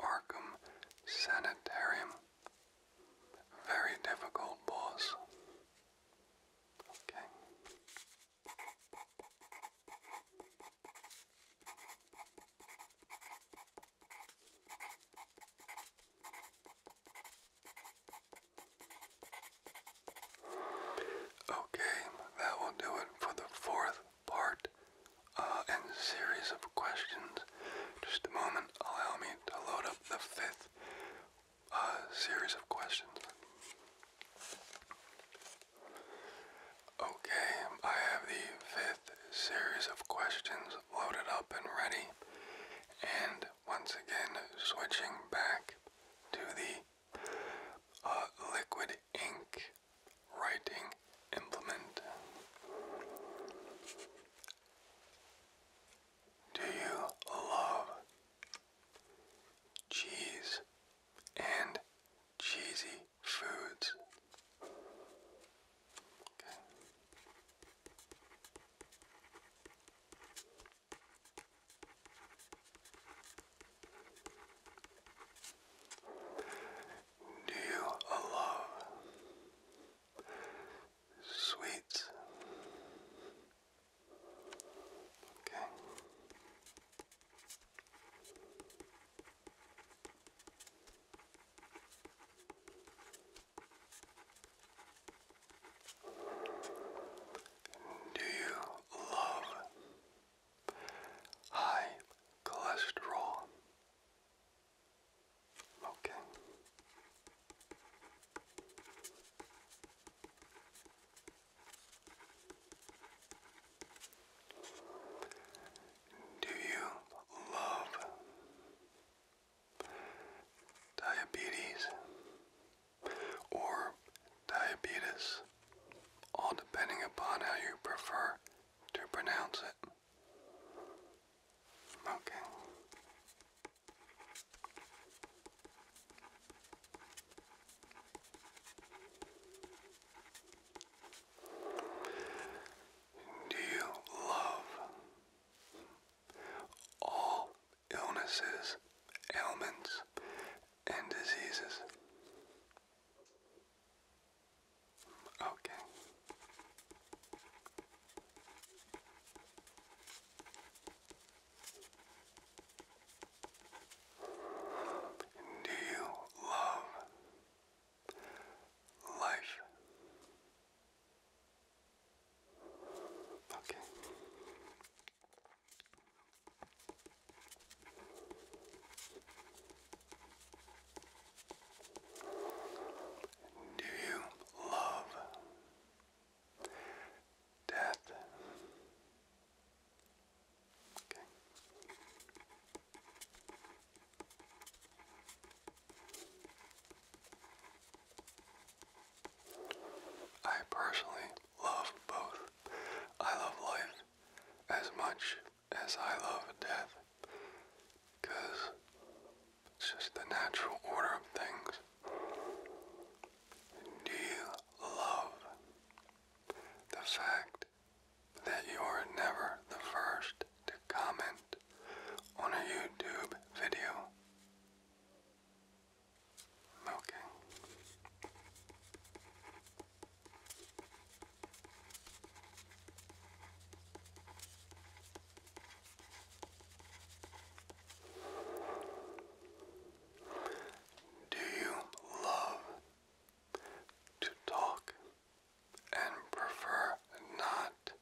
Arkham Sanitarium. Very difficult boss. Okay. Okay, that will do it for the fourth part uh, and series of questions. Just a moment, allow me to load up the fifth uh, series of questions. Okay, I have the fifth series of questions loaded up and ready. And once again, switching back to the uh, liquid ink writing implement. Do you love cheese and cheesy foods? Do you love sweets? Okay. Do you love high cholesterol. Okay. Do you love diabetes or diabetes? All depending upon how you prefer to pronounce it. Okay. Do you love all illnesses, ailments, and diseases? Okay. Do you love life? Okay. Do you love death? Okay. I personally love both. I love life as much as I love death it's just the natural order of things. Do you love the fact that you are never the first to comment on a YouTube video? Okay. Do you love to talk and prefer not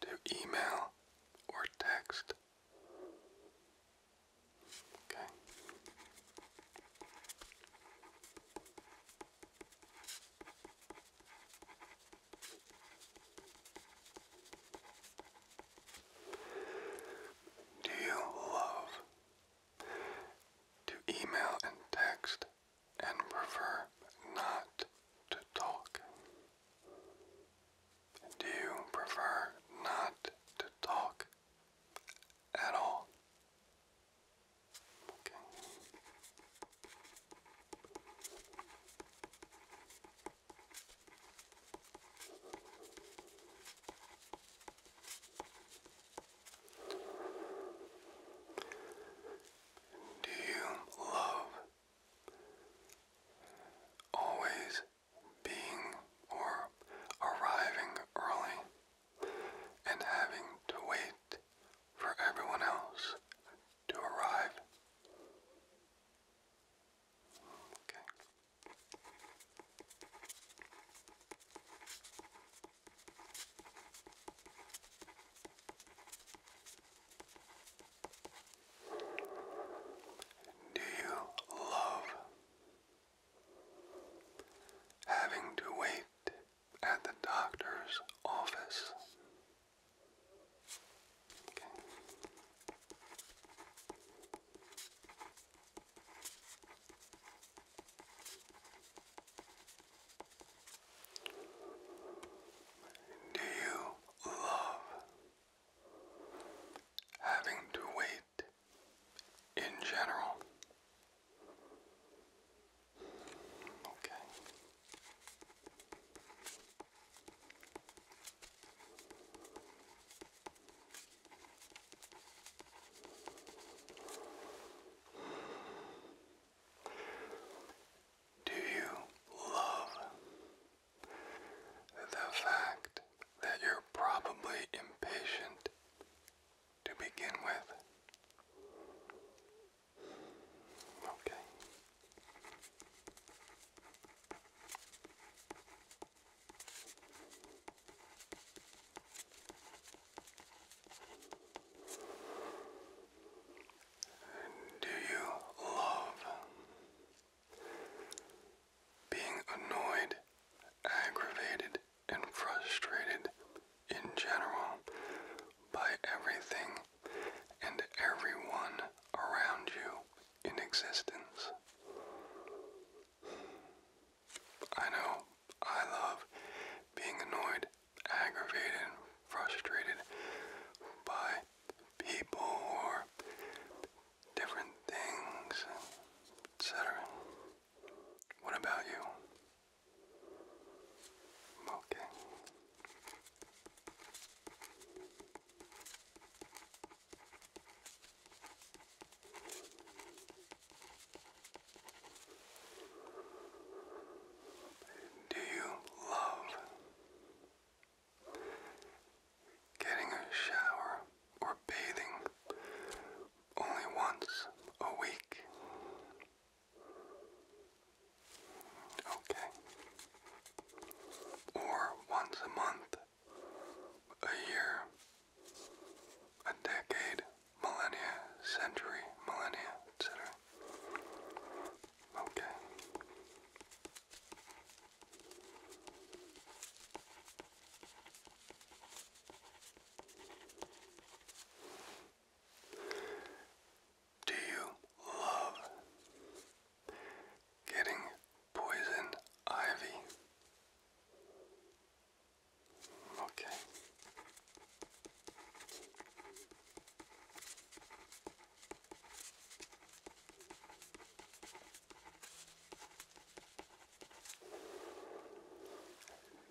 to email or text? Okay. Do you love to email and text and prefer not to talk? Do you prefer not to talk at all? Okay. Do you love always being or arriving early? and having to wait for everyone else to arrive. Okay. Do you love having to wait at the doctor's office. Do you love having to wait in general? Okay. Do you love the fact that you're probably impatient to begin with? Okay. Do you love being annoyed, aggravated, and frustrated in general by everything and everyone around you in existence. I know I love being annoyed, aggravated, frustrated by people or different things, etc. What about you? Okay. Do you love getting a shower or bathing only once a week? Okay. Or once a month, a year, a decade, millennia, century, millennia, etc. Okay. Do you love getting poison ivy? Okay.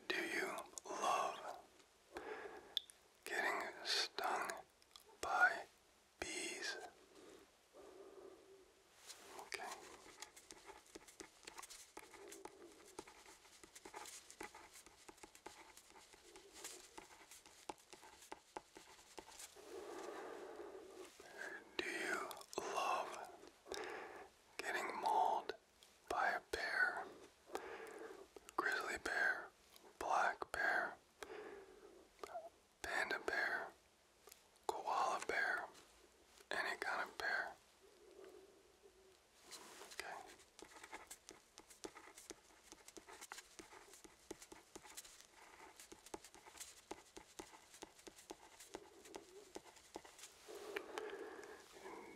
Do you love getting stung by bees. Okay. Do you love getting mauled by a bear? grizzly bear, black bear, panda bear, koala bear, any kind of bear. Okay.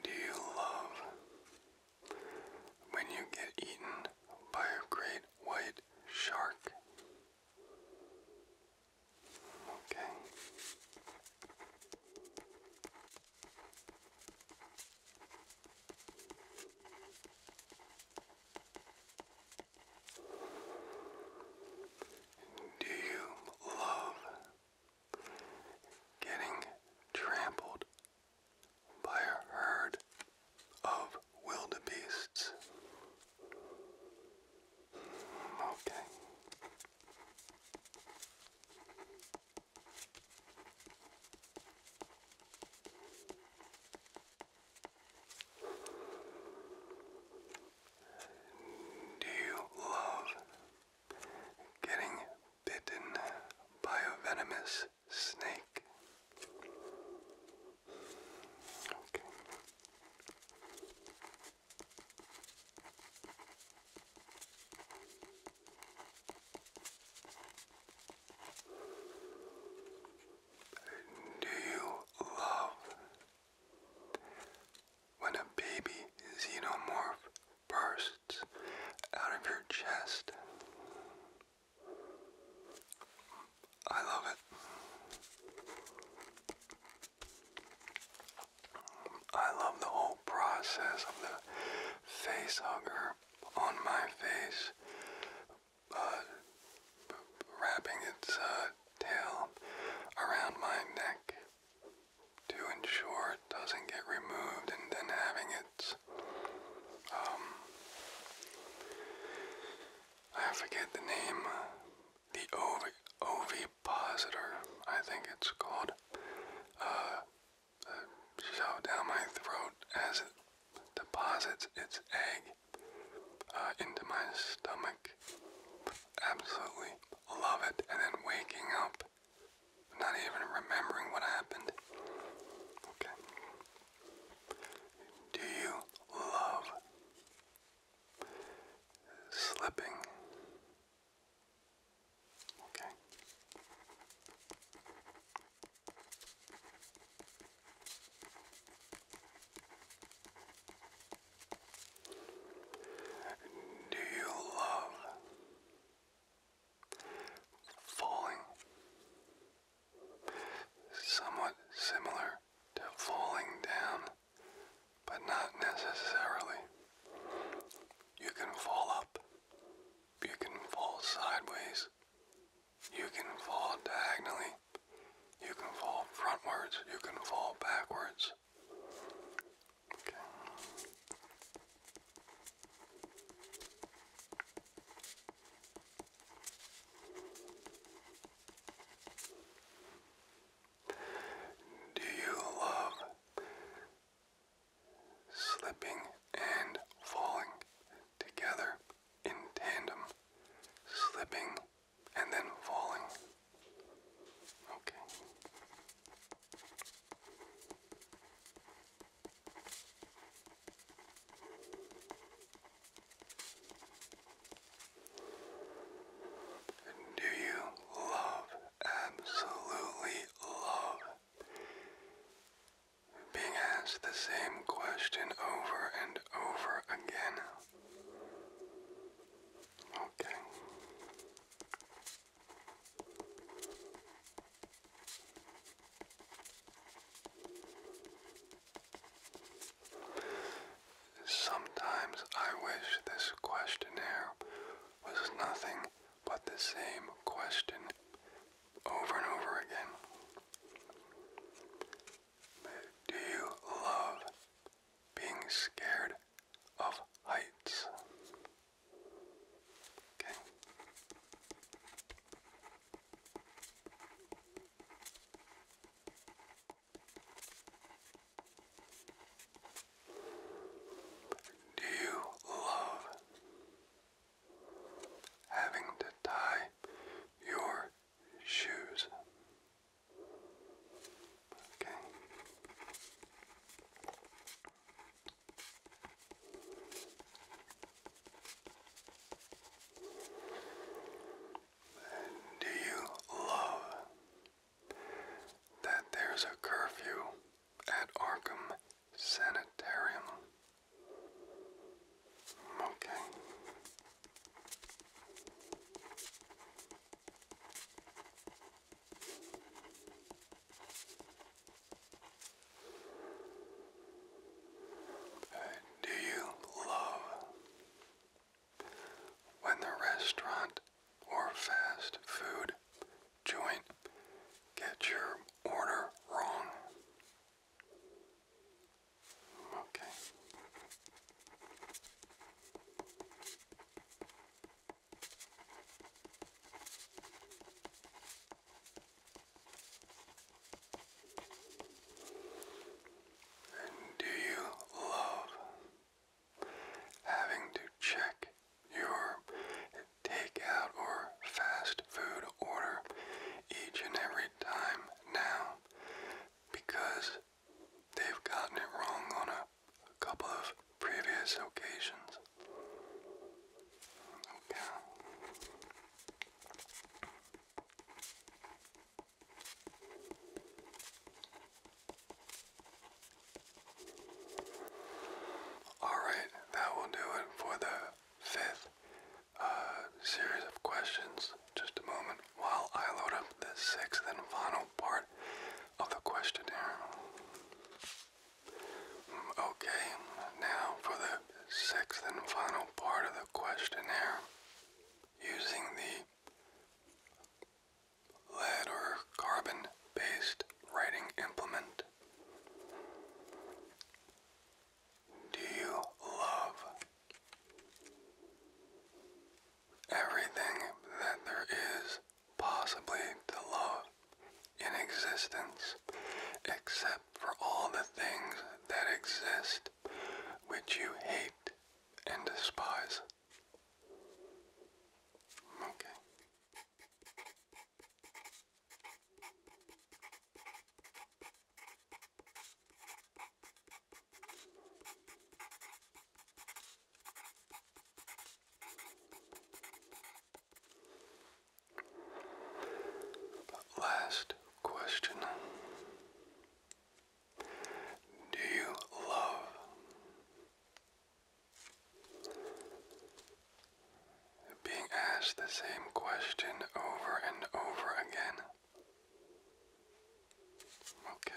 Do you love when you get eaten by a great white shark. Okay. Do you love getting trampled by a herd of wildebeests. Hmm, okay. Do you love getting bitten by a venomous snake. Okay. Do you love when a baby xenomorph bursts out of your chest? I love it. I love the whole process of the face hugger on my face, uh, wrapping its uh, tail around my neck to ensure it doesn't get removed, and then having its um, I forget the name, the OV ovipositor, I think it's called. Uh, uh down my throat as it deposits its egg uh, into my stomach. Absolutely love it. And then waking up not even remembering what happened. Okay. Do you love slipping? Okay. Do you love Falling. Somewhat similar to falling down, but not necessarily. You can fall up, you can fall sideways, you can fall diagonally, you can fall frontwards, you can fall backwards. Okay. Do you love slipping and falling together in tandem? Slipping and then falling. Okay. Do you love, absolutely love, being asked the same question over and over again? Okay. Sometimes I wish this questionnaire was nothing but the same question over and over again. Do you love being scared of heights? Okay. Do you love having to tie your shoes? Okay. Do you love that there's a curfew at Arkham Sanitarium? Okay. Do you love when the restaurant or fast food joint gets your order wrong? Okay. Do you love having to check your takeout or fast food order each and every time now because they've gotten it wrong on a couple of previous occasions? Okay. Alright, that will do it for the fifth uh, series of questions. Just a moment while I load up the sixth and final part of the questionnaire. Mm, okay, now for the sixth and final part of the questionnaire using the lead or carbon based writing implement. Do you love everything that there is possibly to love in existence except for all the things that exist which you hate and despise. Okay. Last question. Do you love? Being asked the same question over and over again. Okay.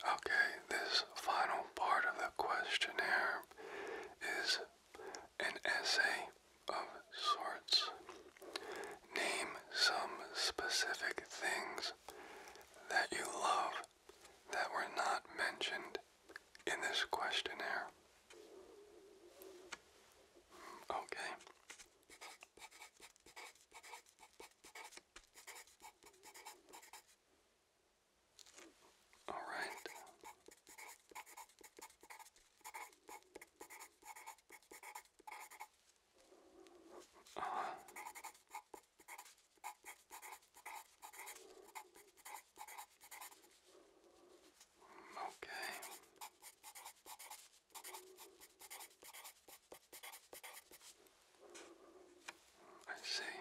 Okay, this final part of the questionnaire is an essay of sorts. Name some specific things that you love that were not mentioned in this questionnaire. Okay. All right. Uh-huh. Okay. I see.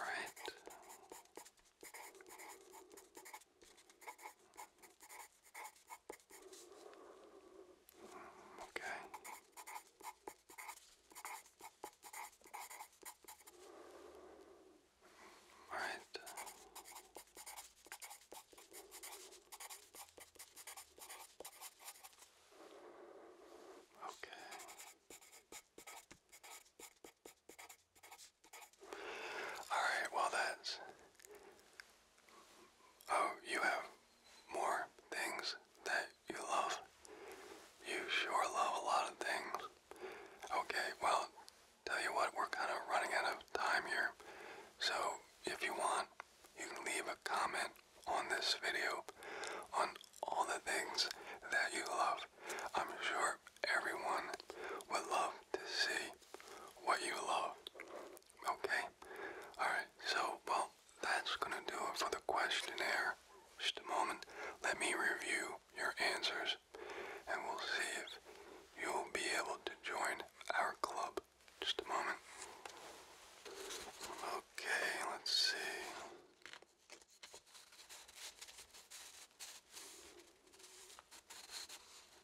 Right. Okay. All right. Okay. All right, well, that's Oh, you have more things that you love. You sure love a lot of things. Okay, well, tell you what, we're kind of running out of time here. So, if you want, you can leave a comment on this video on all the things that you love. I'm sure everyone would love to see what you love. Okay? Alright, so, well, that's going to do it for the questionnaire. Just a moment. Let me review your answers, and we'll see if you'll be able to join our club. Just a moment. Okay, let's see.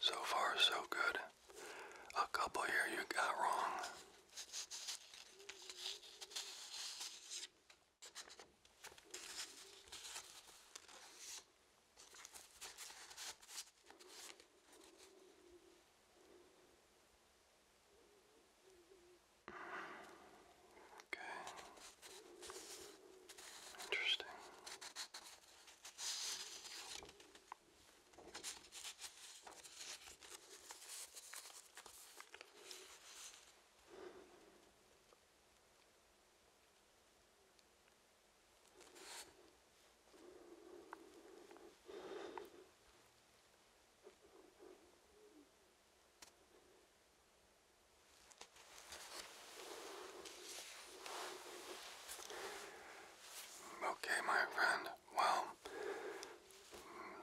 So far, so good. A couple here you got wrong. Okay. Interesting. Okay, my friend. Well,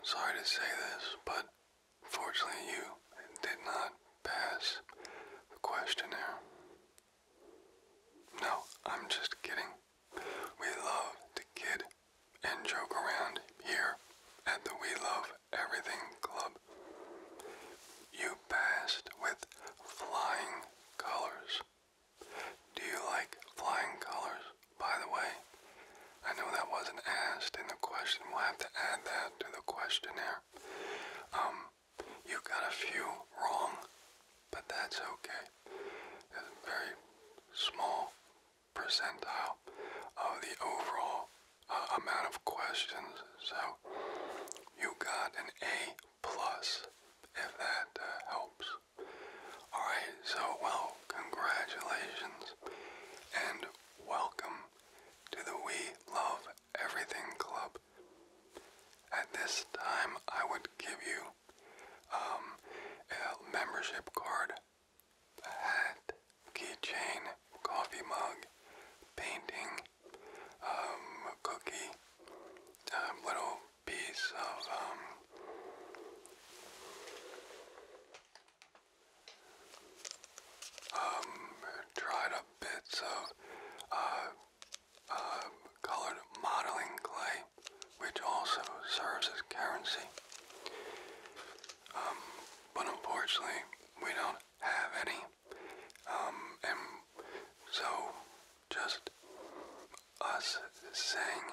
sorry to say this, but fortunately you did not pass the questionnaire. No, I'm just kidding. We love to kid and joke around here at the We Love Everything Club. You passed with flying colors. Do you like flying colors, by the way? I know that wasn't asked in the question. We'll have to add that to the questionnaire. Um, you got a few wrong, but that's okay. It's very small percentile of the overall uh, amount of questions. So you got an A plus, if that uh, helps. All right. So well, congratulations and welcome to the We Love Everything Club. At this time, I would give you um, a membership card a hat, keychain, coffee mug, painting, um, cookie, um, little piece of um, dried up bits of uh, colored modeling clay, which also serves as currency. Um, but unfortunately we don't have any, um, and so just us saying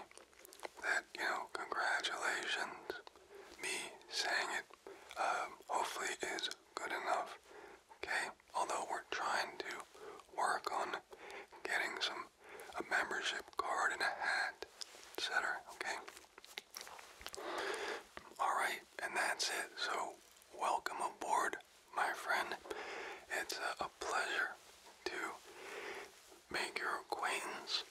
that you know congratulations, me saying it, uh, hopefully is good enough. Okay, although we're trying to work on getting some a membership card and a hat, etc. Okay. Alright, and that's it. So, welcome aboard, my friend. It's a, pleasure to make your acquaintance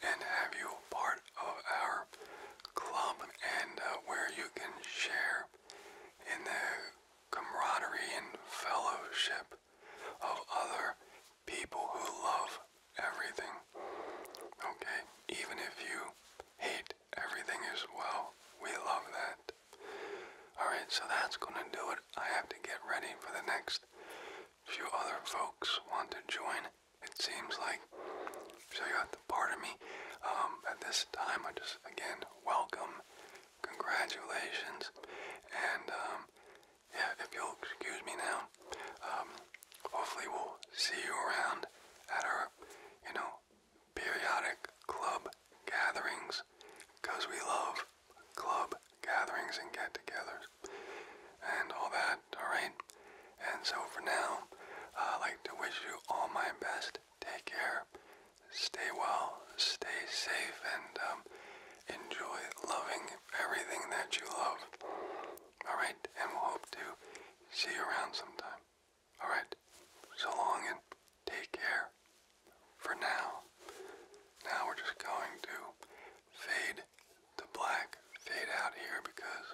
and have you part of our club and uh, where you can share in the camaraderie and fellowship of other people who love everything. Okay? Even if you hate everything as well, we love that. Alright, so that's gonna do it. I have to get ready for the next few other folks want to join. It seems like, so you have to pardon me. Um, at this time, I just, again, welcome, congratulations, and um, yeah, if you'll excuse me now, um, hopefully we'll see you around at our, you know, periodic club gatherings, we love club gatherings and get-togethers and all that, alright? And so for now, i like to wish you all my best. Take care. Stay well. Stay safe. And um, enjoy loving everything that you love. Alright, and we'll hope to see you around sometime. Alright, so long and take care. For now, now we're just going to fade to black, fade out here because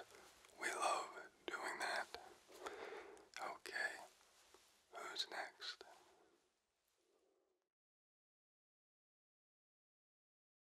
we love doing that. Okay, who's next?